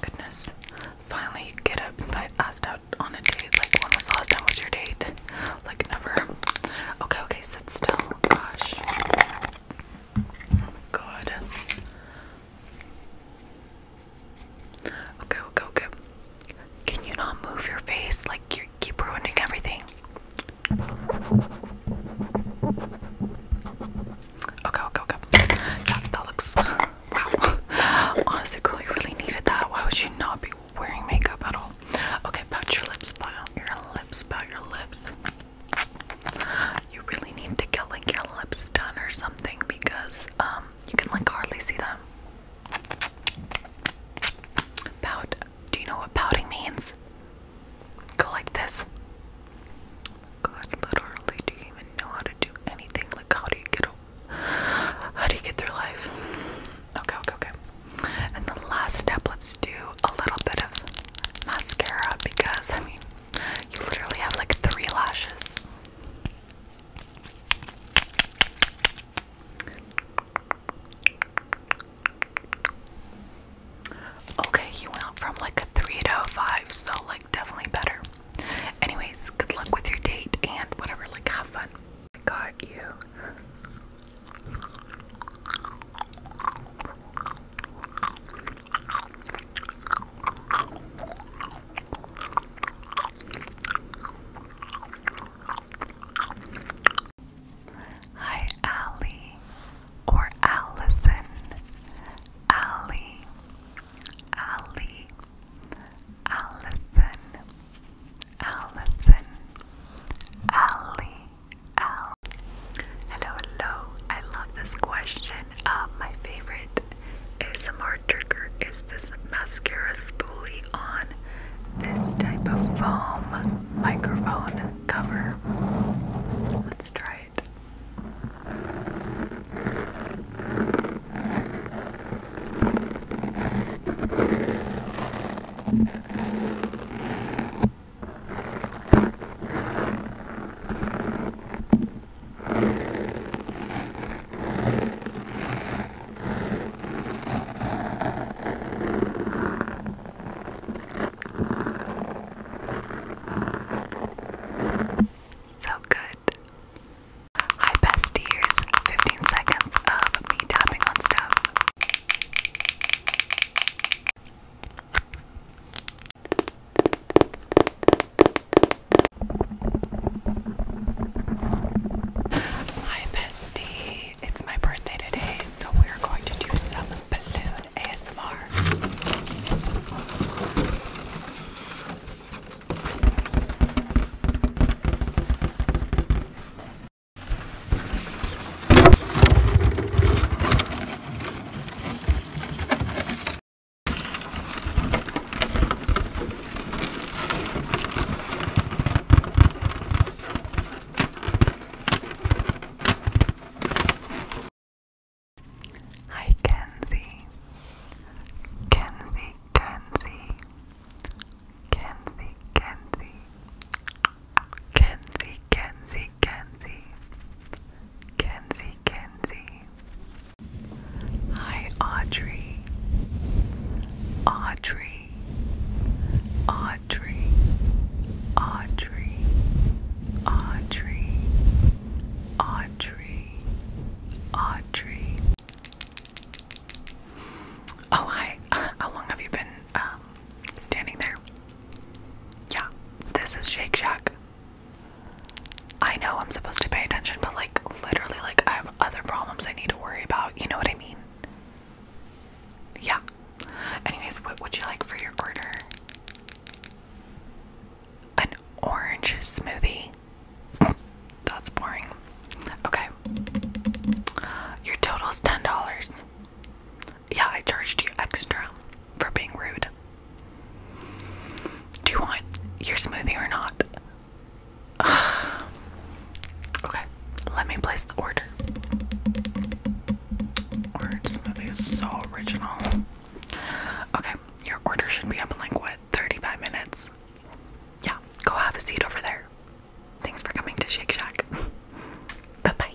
Goodness. Finally, get up invite asked out on a date. Like, when was the last time was your date? Like, never. Okay, okay, sit still. Gosh. Oh my god. Okay, okay, okay. Can you not move your face? Like, you're, keep ruining everything. Okay, okay, okay. That, that looks. Wow. Honestly, girl, you really needed that. Why would you not be wearing makeup at all? Okay, pat your lips, pat your lips, pat your lips. You really need to get like your lips done or something because um you can like hardly see them. Pout, do you know what pouting means? Go like this. God, literally, do you even know how to do anything? Like, how do you get, how do you get through life? Okay, okay, okay. And the last step, let's do a little bit of mascara because I mean, you literally have like three lashes. Okay, you went from like a 3 to a 5, so like definitely better. Anyways, good luck with your date and whatever, like have fun. I got you. Hi, Allie or Allison. Allie, Allie, Allison, Allison, Allie, Allie. Hello, hello. I love this question. Uh, my favorite ASMR trigger is this mascara spoolie on this type of foam microphone cover. Let's try it. So good. Hi, besties. 15 seconds of me tapping on stuff. Hi, besties it's my birthday today, so we're going to do some balloon ASMR. Hi Kenzie, Kenzie, Kenzie, Kenzie, Kenzie, Kenzie, Kenzie, Kenzie, Hi Audrey, Audrey. Audrey, Audrey, Audrey, Audrey, Audrey. Oh, hi. Uh, how long have you been um, standing there? Yeah, this is Shake Shack. I know I'm supposed to pay attention, but like literally, like I have other problems I need to worry about. You know what I mean? Yeah, Anyways, what would you like for your order? An orange smoothie? That's boring. Okay. Your is $10. Yeah, I charged you extra for being rude. Do you want your smoothie or not? okay, let me place the order. Orange smoothie is so original. Okay, your order should be up in like what, 35 minutes? Yeah, go have a seat over there. Thanks for coming to Shake Shack. bye bye.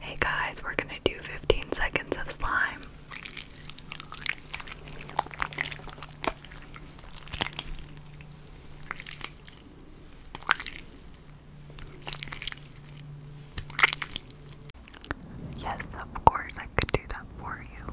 Hey guys, we're going to do 15 seconds of slime. Yes, of course, I could do that for you.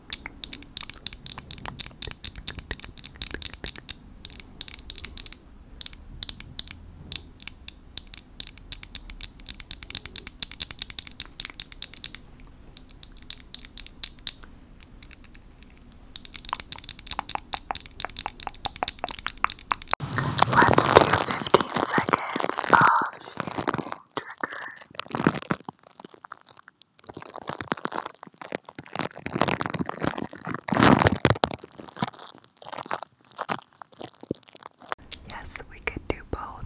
Let's do 15 seconds of shaking trigger. Yes, we could do both.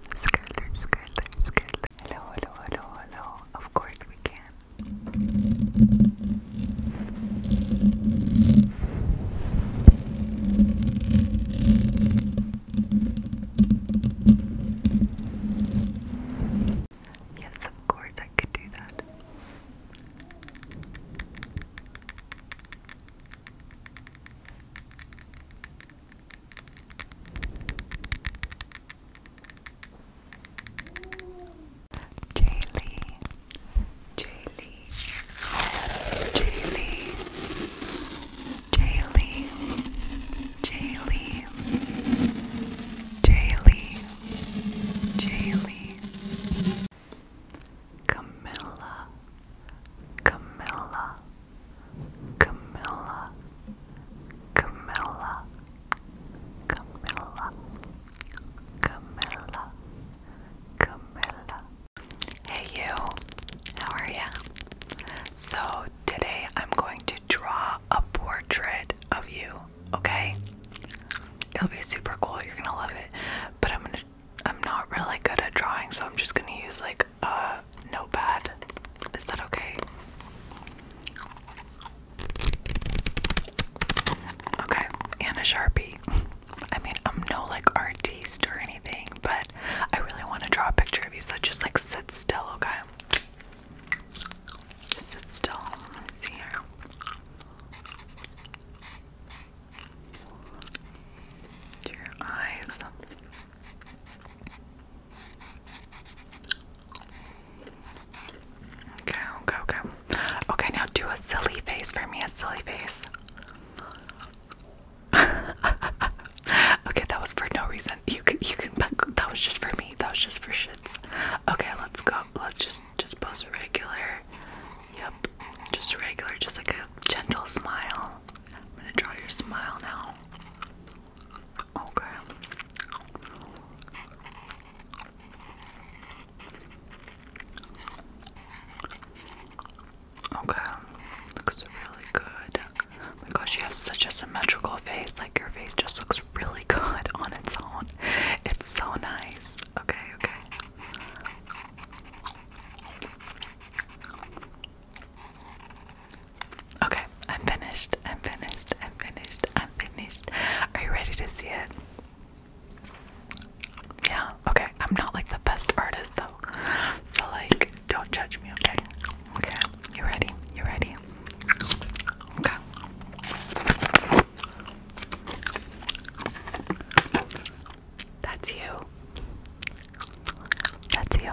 Skylar, Skylar, Skylar. Hello, hello, hello, hello. Of course we can. Yes, of course I could do that. Jaylee, Jaylee, Jaylee, Jaylee, Jaylee, Jaylee, Camilla. Camilla, Camilla, Camilla, Camilla, Camilla, Camilla. Hey you, how are ya? So today I'm going to draw a portrait of you, okay? It'll be super cool, you're gonna love it. But I'm gonna I'm not really good at drawing, so I'm just gonna use like like uh, notepad. Is that okay? Okay, and a Sharpie. I mean, I'm no like artist or anything, but I really want to draw a picture of you, so just like sit still, okay? Just sit still. see Your eyes. Okay, okay, okay. Okay, now do a silly face for me, a silly face. okay, that was for no reason. You can, you can. That was just for me. That was just for shits. Okay, let's go. Let's just, just pose regular. Yep, just regular, just like a gentle smile. I'm gonna draw your smile now. Okay. Okay. Looks really good. Oh my gosh, you have such a symmetrical face. Like your face just looks really good on its own. It's so nice. Okay, okay. Okay, I'm finished. I'm finished. I'm finished. I'm finished. Are you ready to see it? Yeah, okay. I'm not like the best artist though. So like don't judge me, okay? Okay. You ready? You ready? Okay. That's you. That's you.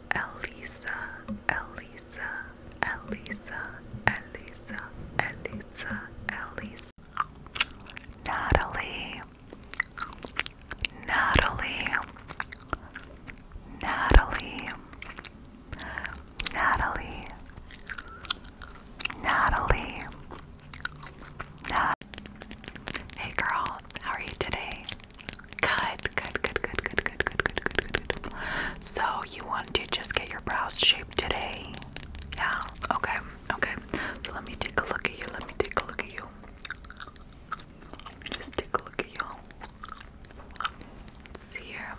Elisa, Elisa, Elisa, Elisa, Elisa, Elisa. Natalie, Natalie, Natalie, Natalie, Natalie. Nat hey girl, how are you today? Good, good, good, good, good, good, good, good, good, So you want to just get your brows shaped today? Yeah. Okay. Okay. So let me take a look at you. Let me take a look at you. Just take a look at you. see here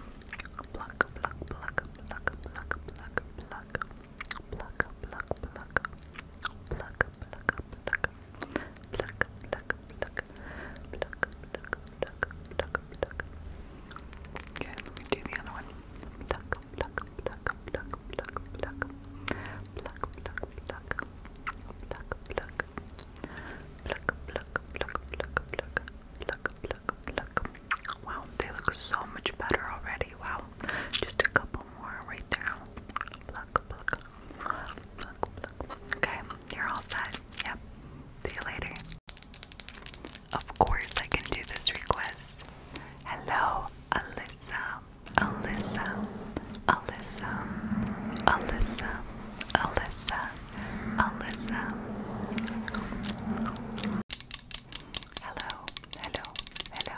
pluck, pluck, pluck, pluck, pluck, pluck, pluck, pluck. Okay, let me do the other one. Pluck, pluck, pluck, pluck, pluck, pluck, pluck, pluck, pluck, pluck, pluck, pluck, pluck, pluck, pluck, pluck, pluck, pluck, pluck. Wow, they look so much better already. Wow, just a couple more right there. Pluck, pluck, Look, look. Okay, you're all set. Yep. See you later. Of course, I can do this request. Hello, Alyssa. Alyssa. Alyssa. Alyssa. Alyssa. Alyssa. Hello. Hello. Hello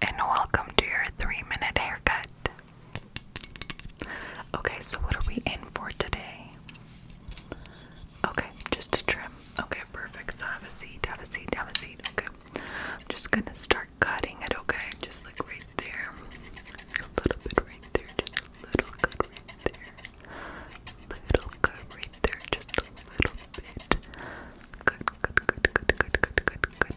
and welcome to your three minute haircut. Okay, so what are we in for today? Okay, just a trim. Okay, perfect. have a seat, have a seat, have a seat. Okay, I'm just gonna start cutting it, okay? Just like right there. A little bit right there, just a little cut right there. Little cut right there, just a little bit. good, good, good, good, good, good, good.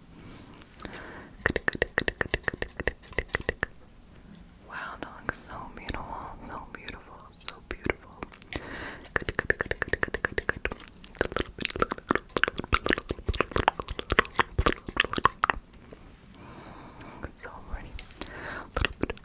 Wow, that looks so beautiful, so beautiful, so beautiful. So pretty.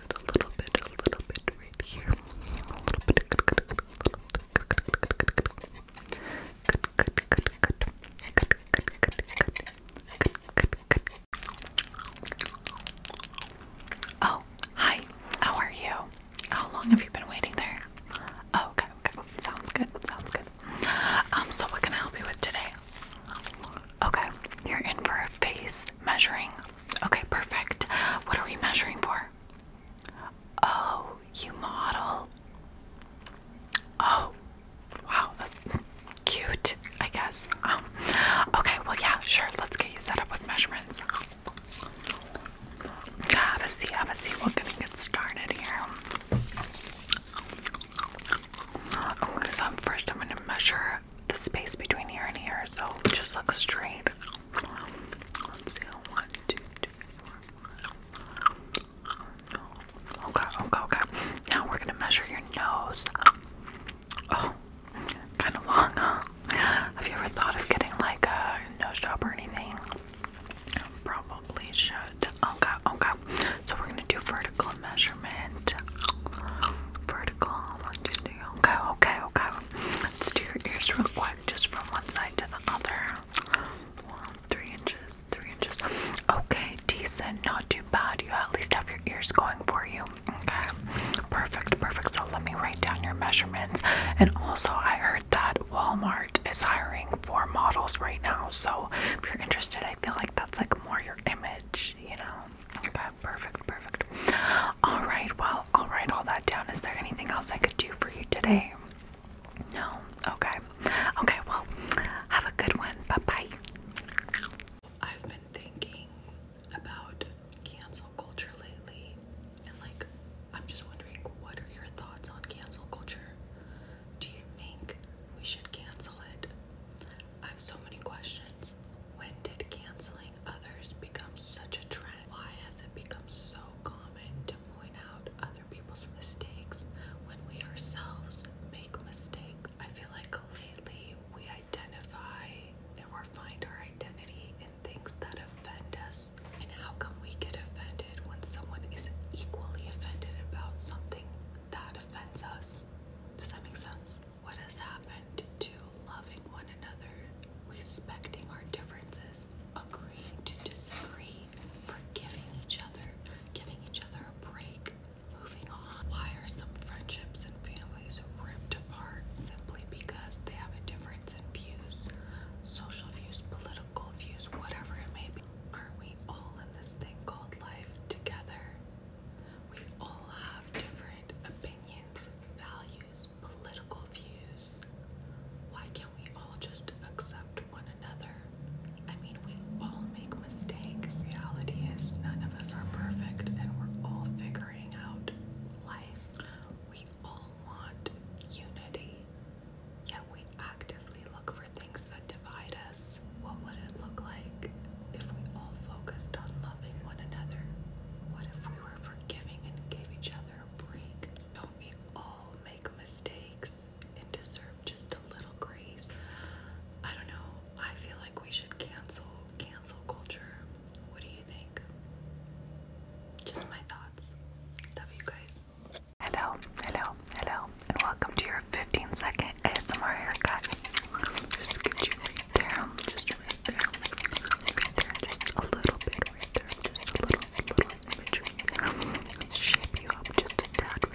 a little bit, a little bit right here. Oh, hi. How are you? How long have you been waiting there? okay, okay. Sounds good. Sounds good. Um, so what can I help you with today? Okay, you're in for a face measuring Okay, perfect. What are we measuring for? Oh, you model. Oh, wow. Cute, I guess. Um, okay, well, yeah, sure. Let's get you set up with measurements. Have a seat, have a seat. We're gonna get started here. Okay, so first, I'm gonna measure the space between here and here, so just look straight. Okay, okay, okay. Now we're gonna measure your nose. Oh, kind of long, huh? Have you ever thought of getting like a nose job or anything? Probably should. Okay, okay. So we're gonna do vertical measurement. Vertical, Okay, okay, okay. Let's do your ears real quick, just from one side to the other. One, three inches, three inches. Okay, decent, not too bad. You at least have your ears going for you. Okay, perfect, perfect. So let me write down your measurements. And also, I heard that Walmart is hiring for models right now. So if you're interested, I feel like that's like more your image, you know. Okay perfect, perfect. All right, well, I'll write all that down. Is there anything else I could do for you today? No? Okay. Okay, well, have a good one. Bye bye. I've been thinking about cancel culture lately, and like, I'm just wondering what are your thoughts on cancel culture? Do you think we should cancel it? I have so many questions. When did canceling others become such a trend? Why has it become so common to point out other people's mistakes when we ourselves make mistakes? I feel like lately we identify or find our identity in things that offend us. And how come we get offended when someone is equally offended about something that offends us? Does that make sense? What has happened to loving one another, respecting our differences, agreeing to disagree, forgiving each other, giving each other a break, moving on? Why are some friendships and families ripped apart simply because they have a difference in views, social views, political views, whatever it may be? Aren't we all in this thing called life together? We all have different opinions values, political views. Why can't we all just accept one another? I mean, we all make mistakes. Reality is, none of us are perfect, and we're all figuring out life. We all want unity, yet we actively look for things that divide us. What would it look like if we all focused on loving one another? What if we were forgiving and gave each other a break. Don't we all make mistakes and deserve just a little grace? I don't know. I feel like we should cancel cancel culture. What do you think? Just my thoughts. Love you guys. Hello, hello, hello, and welcome to your 15 second ASMR haircut. Just get you right there. Just just a little bit Just a little, little symmetry. Let's shape you up just a tad.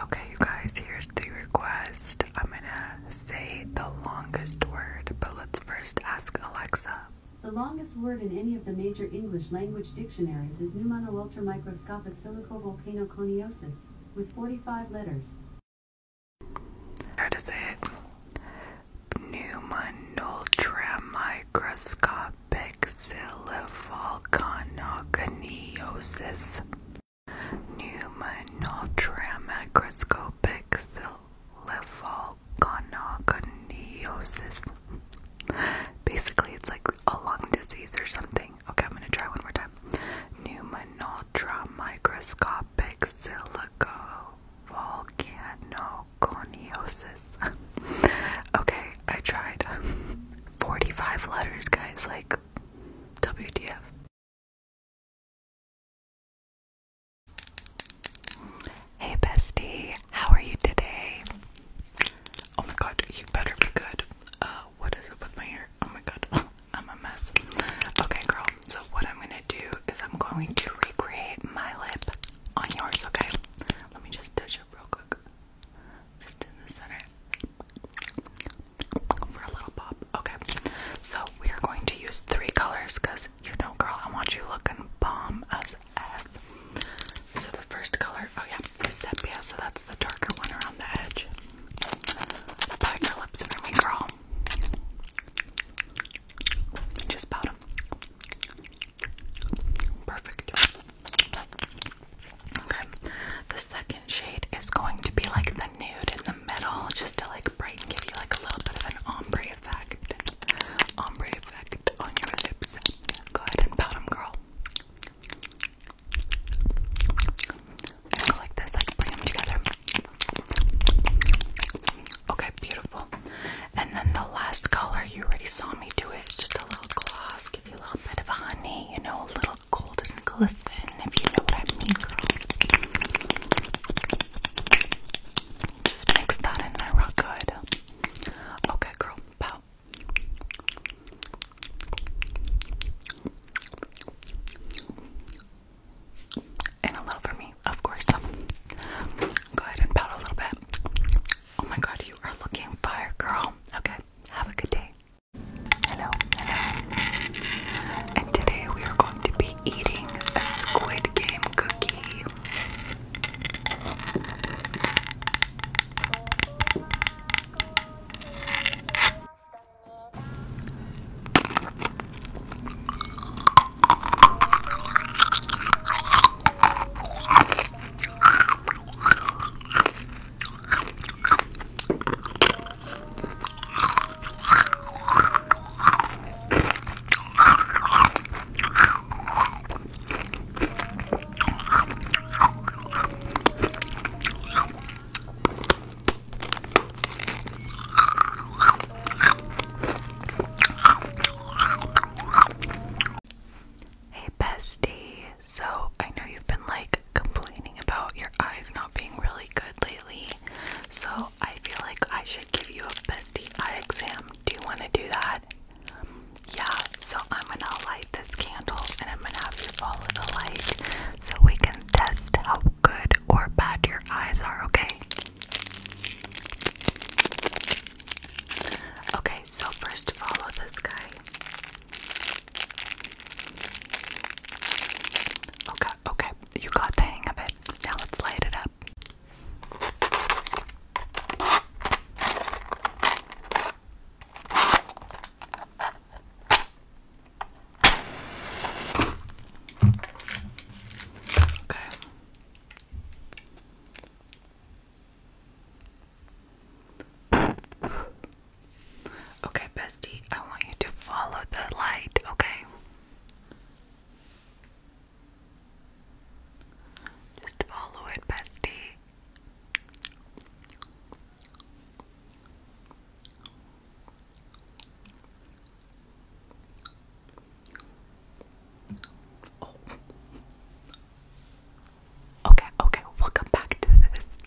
Okay, you guys, here's the request. I'm gonna say the longest word, but let's first ask Alexa. The longest word in any of the major English language dictionaries is pneumono silicovolcanoconiosis, with 45 letters. How to say it? Pneumonultramicroscopic Exilvolcanoconiosis Pneumonultra macroscopic Volcanoconiosis. Basically, it's like a lung disease or something. Okay, I'm gonna try one more time. Pneumonultra microscopic silico volcanoconiosis. okay, I tried. 45 letters, guys, like WTF. Hey bestie, how are you today? Oh my god, you better be good. Uh, what is up with my hair? Oh my god, I'm a mess. Okay, girl, so what I'm gonna do is I'm going to recreate my lip on yours, okay? Let me just touch up real quick. Just in the center for a little pop. Okay, so we are going to use three colors because you know, girl, I want you looking bomb as F. So the first color, oh yeah, is sepia. So that's the darker one around the edge. Pout your lips for girl. Just pout Perfect. Okay. The second shade is going to be like the nude in the middle, just to like brighten, give you like a little bit of an ombre effect. Ombre effect on your lips. Go ahead and pat them, girl. And go like this, like bring them together. Okay, beautiful. And then the last color, you already saw me do it. just a little gloss, give you a little bit of a honey, you know, a little golden glisten, if you know what I mean, girl. Just mix that in there real good. Okay, girl, pout. And a little for me, of course. Go ahead and pout a little bit. Oh my god, you are looking fire, girl. Okay, have a good day. Hello, And today we are going to be eating a Squid Game cookie. Hey, bestie, so I know you've been like complaining about your eyes not being really good lately, so I feel like I should give you a best eye exam. Do you want to do that? Yeah, so I'm gonna light this candle and I'm gonna have you follow the light so we can test how good or bad your eyes are, okay? Okay, so first follow this guy. Okay, okay, you got the hang of it. Now let's light it up. Okay. Okay, bestie, I want you to follow the light, okay? Just follow it, bestie. Oh. Okay, okay, welcome back to this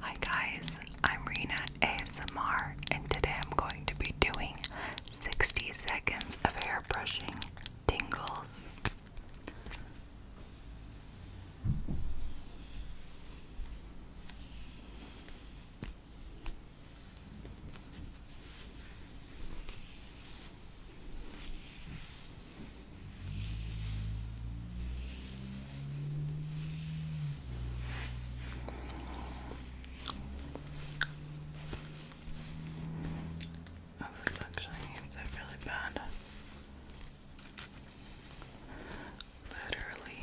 Hi guys, I'm Rena ASMR, and today I'm going to be doing 60 seconds of hair brushing tingles. Oh, this actually needs it really bad. Literally.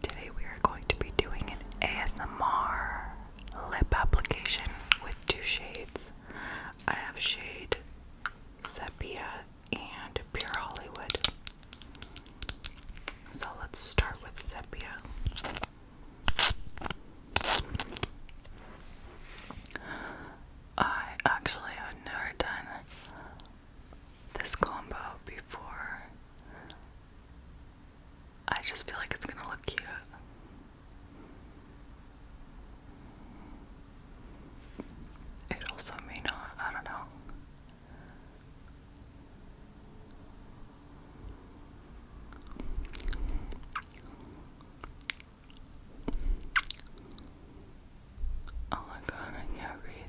today we are going to be doing an ASMR lip application with two shades. I have shade Sepia and Pure Hollywood. So let's start with Sepia. I actually have never done this combo before. I just feel like it's gonna look cute. It also may not, I don't know. Oh my god, I can't read.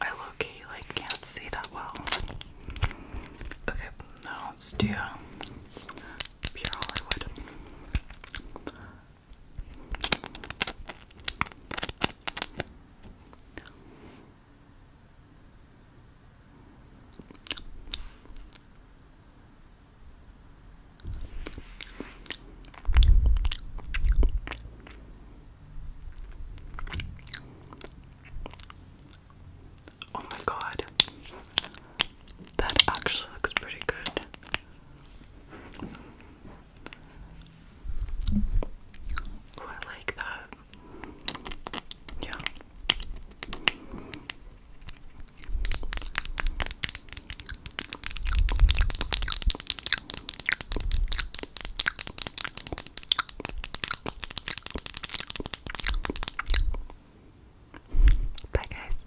I look like can't see that well. Okay, now let pure Hollywood. Oh my god. That actually looks pretty good. Oh, I like that. Yeah. Bye, guys.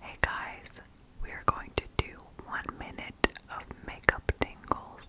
Hey, guys, we are going to do one minute of makeup tingles.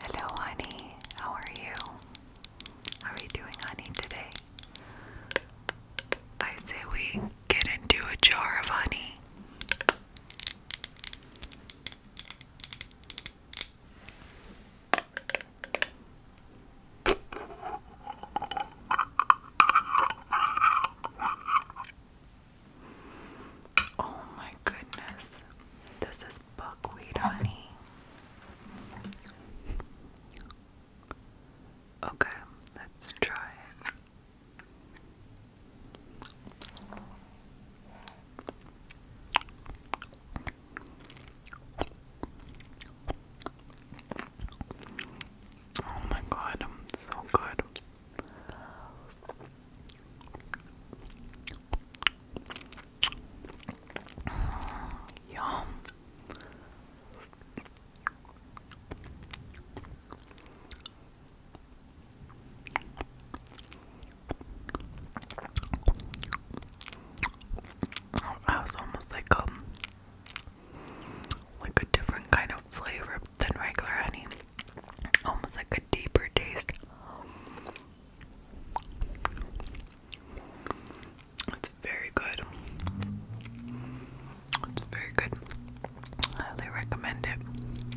Hello, honey. How are you? How are you doing, honey, today? I say we get into a jar of honey. Oh, my goodness, this is buckwheat honey. Okay, let's try it. Oh my god, I'm so good. Yum. Oh, was almost like a um, like a different kind of flavor than regular honey. Almost like a deeper taste. It's very good. It's very good. highly recommend it.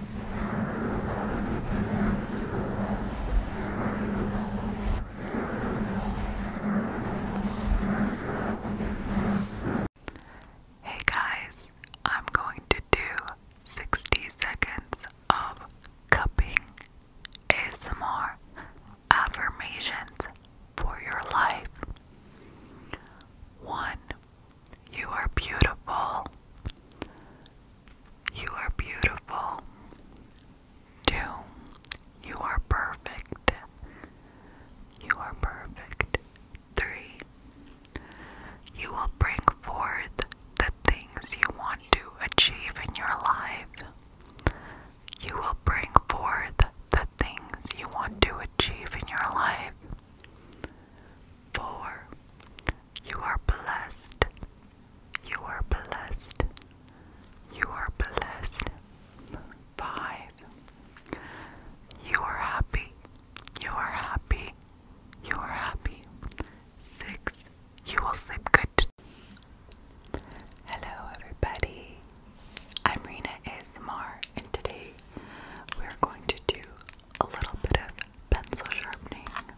Hey guys, I'm going to do 60 seconds of cupping ASMR affirmations for your life. 1. You are beautiful. You are beautiful. 2. You are perfect. You are perfect. 3. You will bring forth the things you want to achieve in your life. You will bring forth the things you want to achieve in your life. 4. You are blessed. You are blessed. You are blessed. Five. You are happy. You are happy. You are happy. Six. You will sleep good. Hello, everybody. I'm Rena ASMR, and today we're going to do a little bit of pencil sharpening.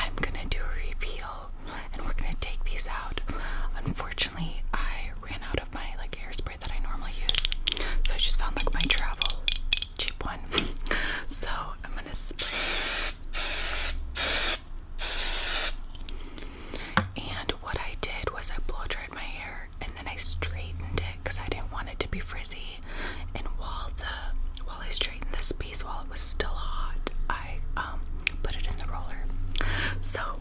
I'm gonna do a reveal and we're gonna take these out. Unfortunately, I ran out of my like hairspray that I normally use. So I just found like my travel cheap one. so I'm gonna spray. And what I did was I blow dried my hair and then I straightened it because I didn't want it to be frizzy. And while the while I straightened this piece while it was still hot, I um put it in the roller. So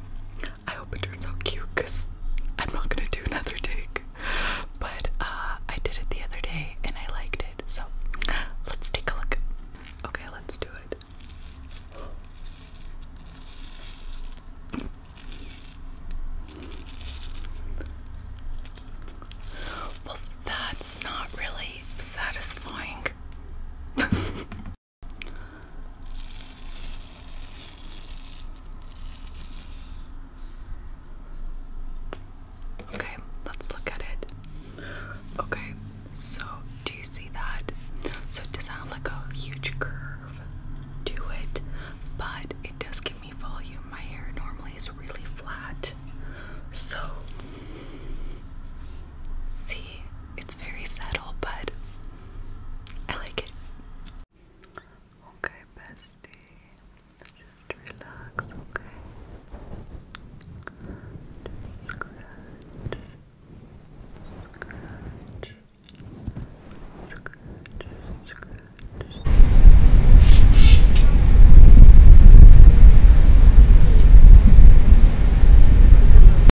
I hope it turns out cute because I'm not gonna do another take. But uh, I did it the other day and I liked it, so let's take a look. Okay, let's do it. Well, that's not really satisfying. Okay, let's look at it. Okay, so do you see that? So it does have like a huge curve to it, but it does give me volume. My hair normally is really flat. So see, it's very subtle, but I like it. Okay, bestie. Just relax, okay? scratch. Scratch. Scratch. Scratch.